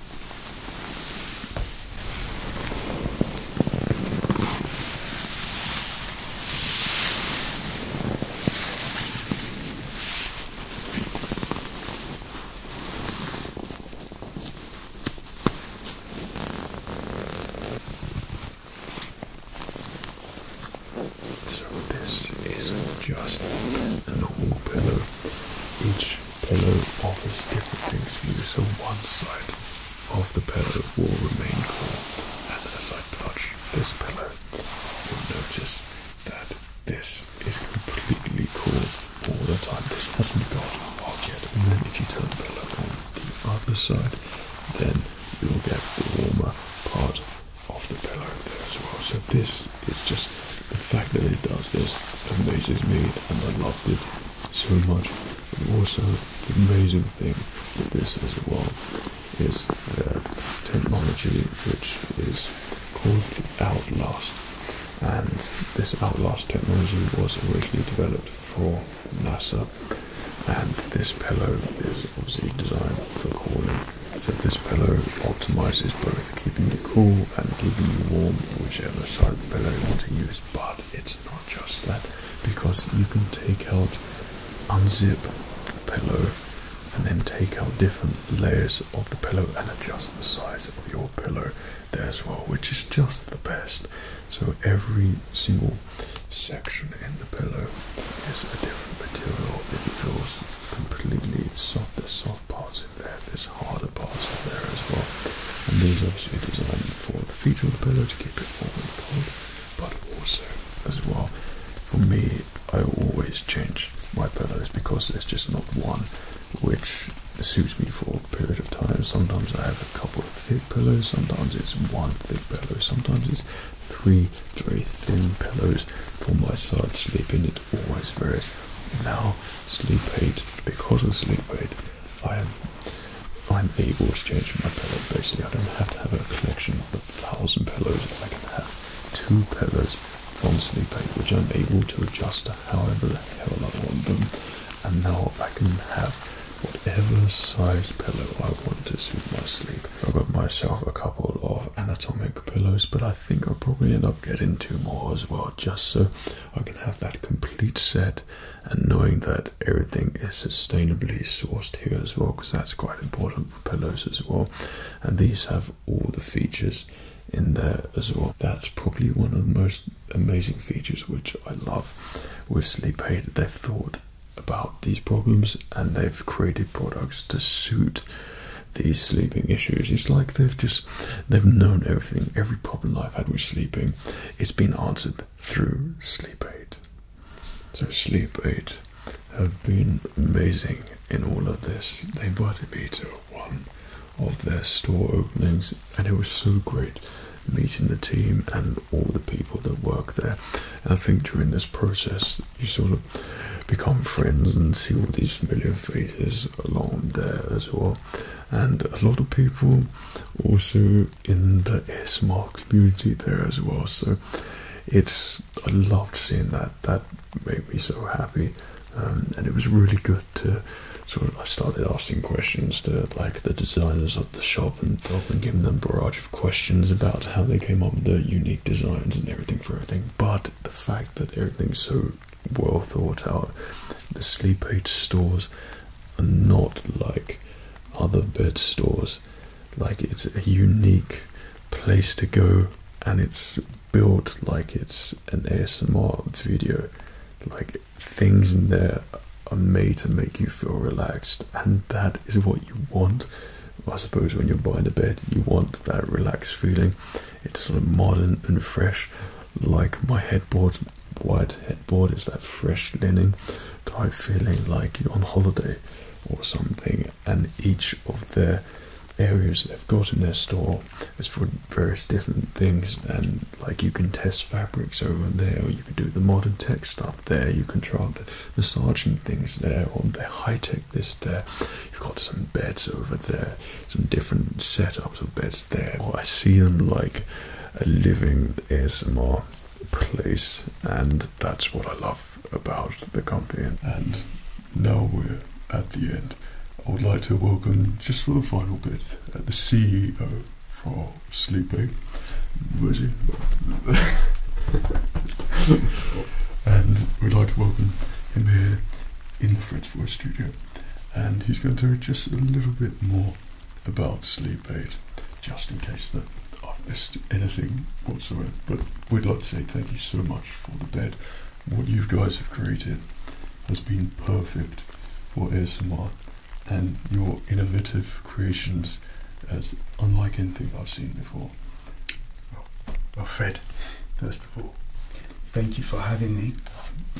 So this is not just an old pillow each pillow offers different things for you, so one side of the pillow will remain cool. And as I touch this pillow, you'll notice that this is completely cool all the time. This hasn't got hot yet. And then if you turn the pillow on the other side, then you'll get the warmer part of the pillow there as well. So this is just the fact that it does this amazes me and I love it so much. And also, the amazing thing with this as well is the technology which is called the Outlast. And this Outlast technology was originally developed for NASA. And this pillow is obviously designed for cooling. So this pillow optimizes both keeping you cool and keeping you warm, whichever side of the pillow you to use. But it's not just that because you can take out, unzip the pillow, and then take out different layers of the pillow and adjust the size of your pillow there as well, which is just the best. So every single section in the pillow is a different material. It feels completely soft. There's soft parts in there harder parts are there as well. And these obviously designed for the future of the pillow to keep it warm and cold, but also as well for me I always change my pillows because there's just not one which suits me for a period of time. Sometimes I have a couple of thick pillows, sometimes it's one thick pillow, sometimes it's three very thin pillows for my side sleeping. it always varies. Now sleep aid because of sleep aid I have I'm able to change my pillow. Basically, I don't have to have a collection of a thousand pillows. I can have two pillows from sleep aid, which I'm able to adjust to however the hell I want them. And now I can have whatever size pillow I want to suit my sleep. I got myself a couple of anatomical pillows, but I think I'll probably end up getting two more as well, just so I can have that complete set and knowing that everything is sustainably sourced here as well because that's quite important for pillows as well and these have all the features in there as well that's probably one of the most amazing features which i love with sleep aid they've thought about these problems and they've created products to suit these sleeping issues it's like they've just they've known everything every problem i've had with sleeping it's been answered through sleep aid. So sleep aid have been amazing in all of this. They invited me to one of their store openings and it was so great meeting the team and all the people that work there. And I think during this process you sort of become friends and see all these familiar faces along there as well and a lot of people also in the ASMR community there as well. So it's I loved seeing that. That made me so happy, um, and it was really good to sort of. I started asking questions to like the designers of the shop and helping giving them a barrage of questions about how they came up with their unique designs and everything for everything. But the fact that everything's so well thought out, the sleep aid stores are not like other bed stores. Like it's a unique place to go and it's built like it's an ASMR video. Like things in there are made to make you feel relaxed and that is what you want. I suppose when you're buying a bed, you want that relaxed feeling. It's sort of modern and fresh, like my headboard White headboard is that fresh linen type feeling like you're on holiday or something and each of the areas they've got in their store is for various different things and like you can test fabrics over there or you can do the modern tech stuff there you can try the massaging things there or the high-tech this there you've got some beds over there some different setups of beds there. I see them like a uh, living ASMR place, and that's what I love about the company. And now we're at the end. I would like to welcome, just for the final bit, uh, the CEO for Sleepy. Where's he? and we'd like to welcome him here in the Fred's Voice studio. And he's going to do just a little bit more about sleep aid, just in case that I've missed anything whatsoever. But we'd like to say thank you so much for the bed. What you guys have created has been perfect for ASMR, and your innovative creations as unlike anything I've seen before. Well, Fred, first of all, thank you for having me.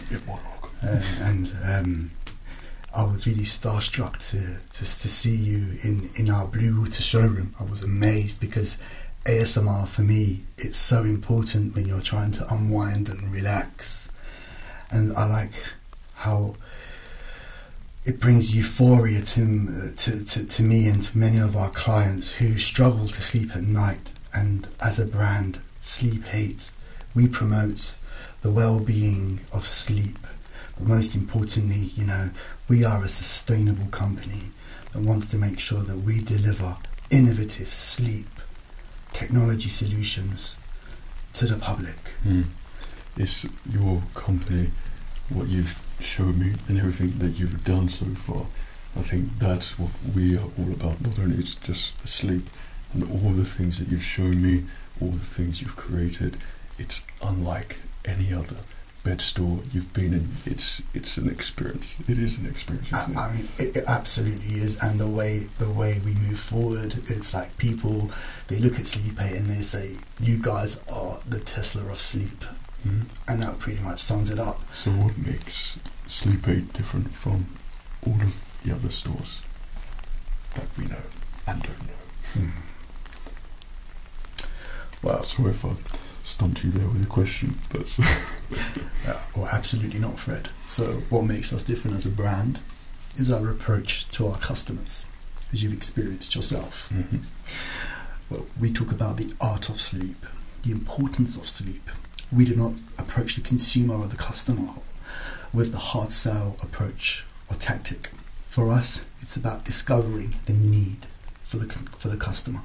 You're more uh, and um, I was really starstruck to to see you in in our Blue Water showroom. I was amazed because ASMR for me it's so important when you're trying to unwind and relax, and I like how it brings euphoria to, to, to, to me and to many of our clients who struggle to sleep at night. And as a brand, Sleep Hate, we promote the well-being of sleep. But most importantly, you know, we are a sustainable company that wants to make sure that we deliver innovative sleep technology solutions to the public. Mm. It's your company, what you've shown me, and everything that you've done so far. I think that's what we are all about. Not only it's just sleep, and all the things that you've shown me, all the things you've created. It's unlike any other bed store you've been in. It's it's an experience. It is an experience. I, mean, it, absolutely is. And the way the way we move forward, it's like people they look at Sleep Eight and they say, "You guys are the Tesla of sleep," mm-hmm. and that pretty much sums it up. So, what makes Sleep Eight different from all of the other stores that we know and don't know. Mm. Well, sorry if I stumped you there with a question. That's uh, absolutely not, Fred. So, what makes us different as a brand is our approach to our customers, as you've experienced yourself. Mm-hmm. Well, we talk about the art of sleep, the importance of sleep. We do not approach the consumer or the customer with the hard sell approach or tactic. For us, it's about discovering the need for the, for the customer.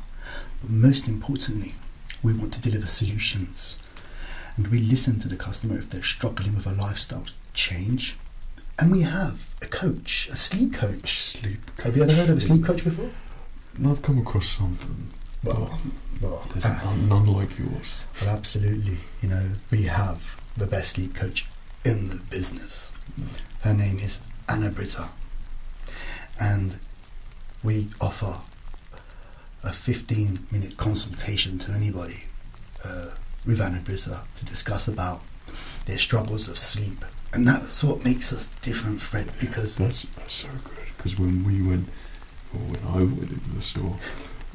But most importantly, we want to deliver solutions. And we listen to the customer if they're struggling with a lifestyle change. And we have a coach, a sleep coach. Sleep coach. Have you ever heard of a sleep coach before? I've come across something. Well, well, there's uh, none like yours. absolutely you know, we have the best sleep coach in the business. Her name is Anna Britta, and we offer a 15 minute consultation to anybody uh, with Anna Britta to discuss about their struggles of sleep. And that's what makes us different, Fred, because. that's so good. Because when we went when I went into the store,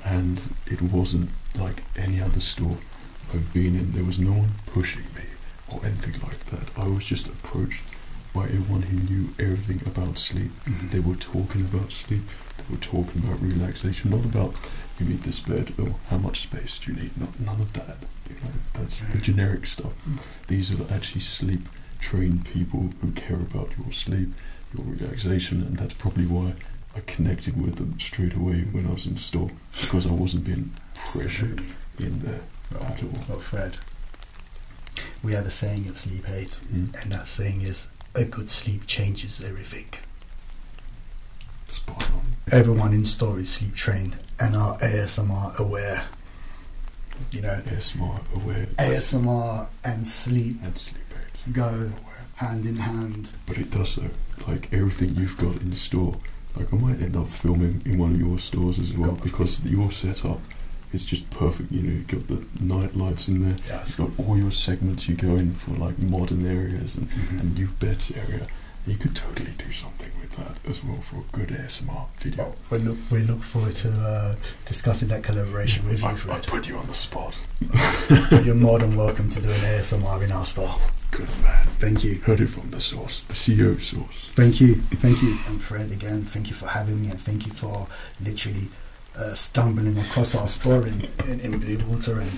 and it wasn't like any other store I've been in. There was no one pushing me or anything like that. I was just approached by everyone who knew everything about sleep. Mm-hmm. They were talking about sleep. They were talking about relaxation, not about you need this bed or how much space do you need. Not none of that. that's the generic stuff. Mm. These are actually sleep trained people who care about your sleep, your relaxation, and that's probably why I connected with them straight away when I was in store because I wasn't being pressured in there at all. Well, Fred, we have a saying at Sleep Aid, mm. and that saying is a good sleep changes everything. Spot on. Everyone in store is sleep trained and our ASMR aware. You know, ASMR aware. ASMR and sleep, and sleep aid. go hand in hand. But it does though. Like everything you've got in store. Like I might end up filming in one of your stores as well because your setup is just perfect. You know, you've got the night lights in there. Yes. You've got all your segments you go in for like modern areas and, mm -hmm. and new beds area. You could totally do something with that as well for a good ASMR video. Well, oh, we look we look forward to uh, discussing that collaboration with you. I put you on the spot. you're more than welcome to do an ASMR in our store. Good man. Thank you. Heard it from the source, the CEO source. Thank you. Thank you. And Fred, again, thank you for having me and thank you for literally uh, stumbling across our store in, in, in terrain.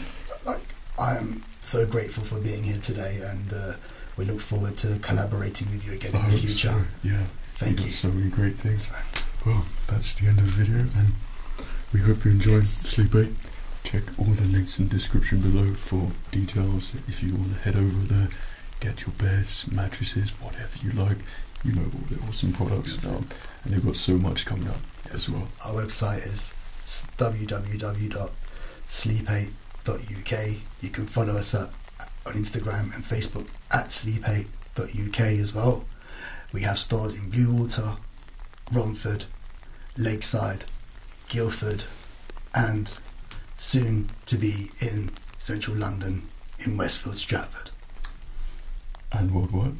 Like, I am so grateful for being here today and uh, we look forward to collaborating with you again in the future. Yeah. Thank you. So many great things. Well, that's the end of the video and we hope you enjoyed Sleep Aid. Check all the links in the description below for details if you want to head over there, get your beds, mattresses, whatever you like. You know all the awesome products now, and they've got so much coming up as well. Our website is www.sleep8.uk. You can follow us at, on Instagram and Facebook at sleep8.uk as well. We have stores in Bluewater, Romford, Lakeside, Guildford, and soon to be in central London in Westfield, Stratford. And worldwide?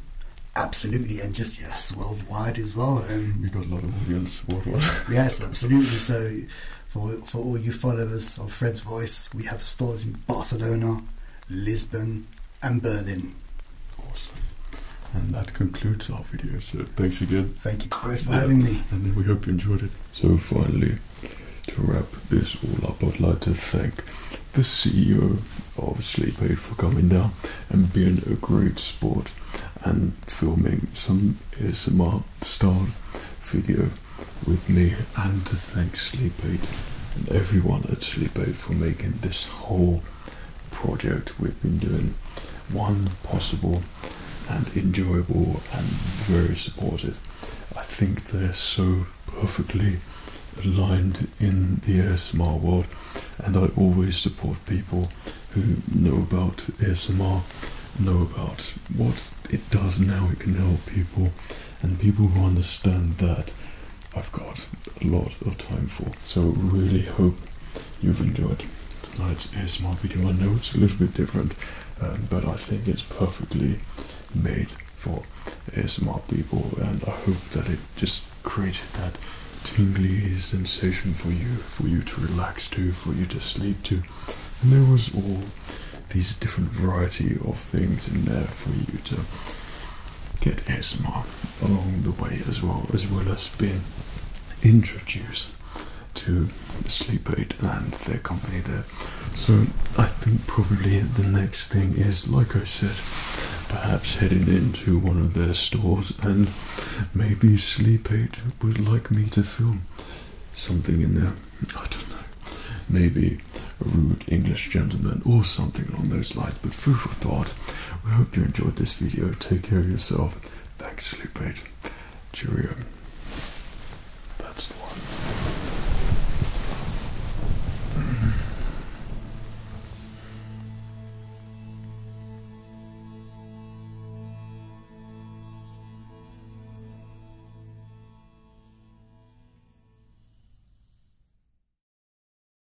Absolutely, and just yes, worldwide as well. And um, we got a lot of audience worldwide. yes, absolutely. So, for, for all you followers of Fred's Voice, we have stores in Barcelona, Lisbon, and Berlin. Awesome. And that concludes our video. So thanks again. Thank you Chris, for having me. And we hope you enjoyed it. So finally, to wrap this all up, I'd like to thank the CEO of Sleep Aid for coming down and being a great sport and filming some ASMR style video with me and to thank Sleep Aid and everyone at Sleep Aid for making this whole project we've been doing one possible and enjoyable and very supportive. I think they're so perfectly aligned in the ASMR world, and I always support people who know about ASMR, know about what it does and it can help people, and people who understand that I've got a lot of time for. So really hope you've enjoyed tonight's ASMR video. I know it's a little bit different, um, but I think it's perfectly made for ASMR people, and I hope that it just created that tingly sensation for you, for you to relax to, for you to sleep to. And there was all these different variety of things in there for you to get ASMR along the way as well, as well as being introduced to Sleep Aid and their company there. So I think probably the next thing is, like I said, perhaps heading into one of their stores and maybe Sleep Aid would like me to film something in there. I don't know. Maybe a rude English gentleman or something along those lines, but food for thought. We hope you enjoyed this video. Take care of yourself. Thanks, Lupate. Cheerio. That's the one.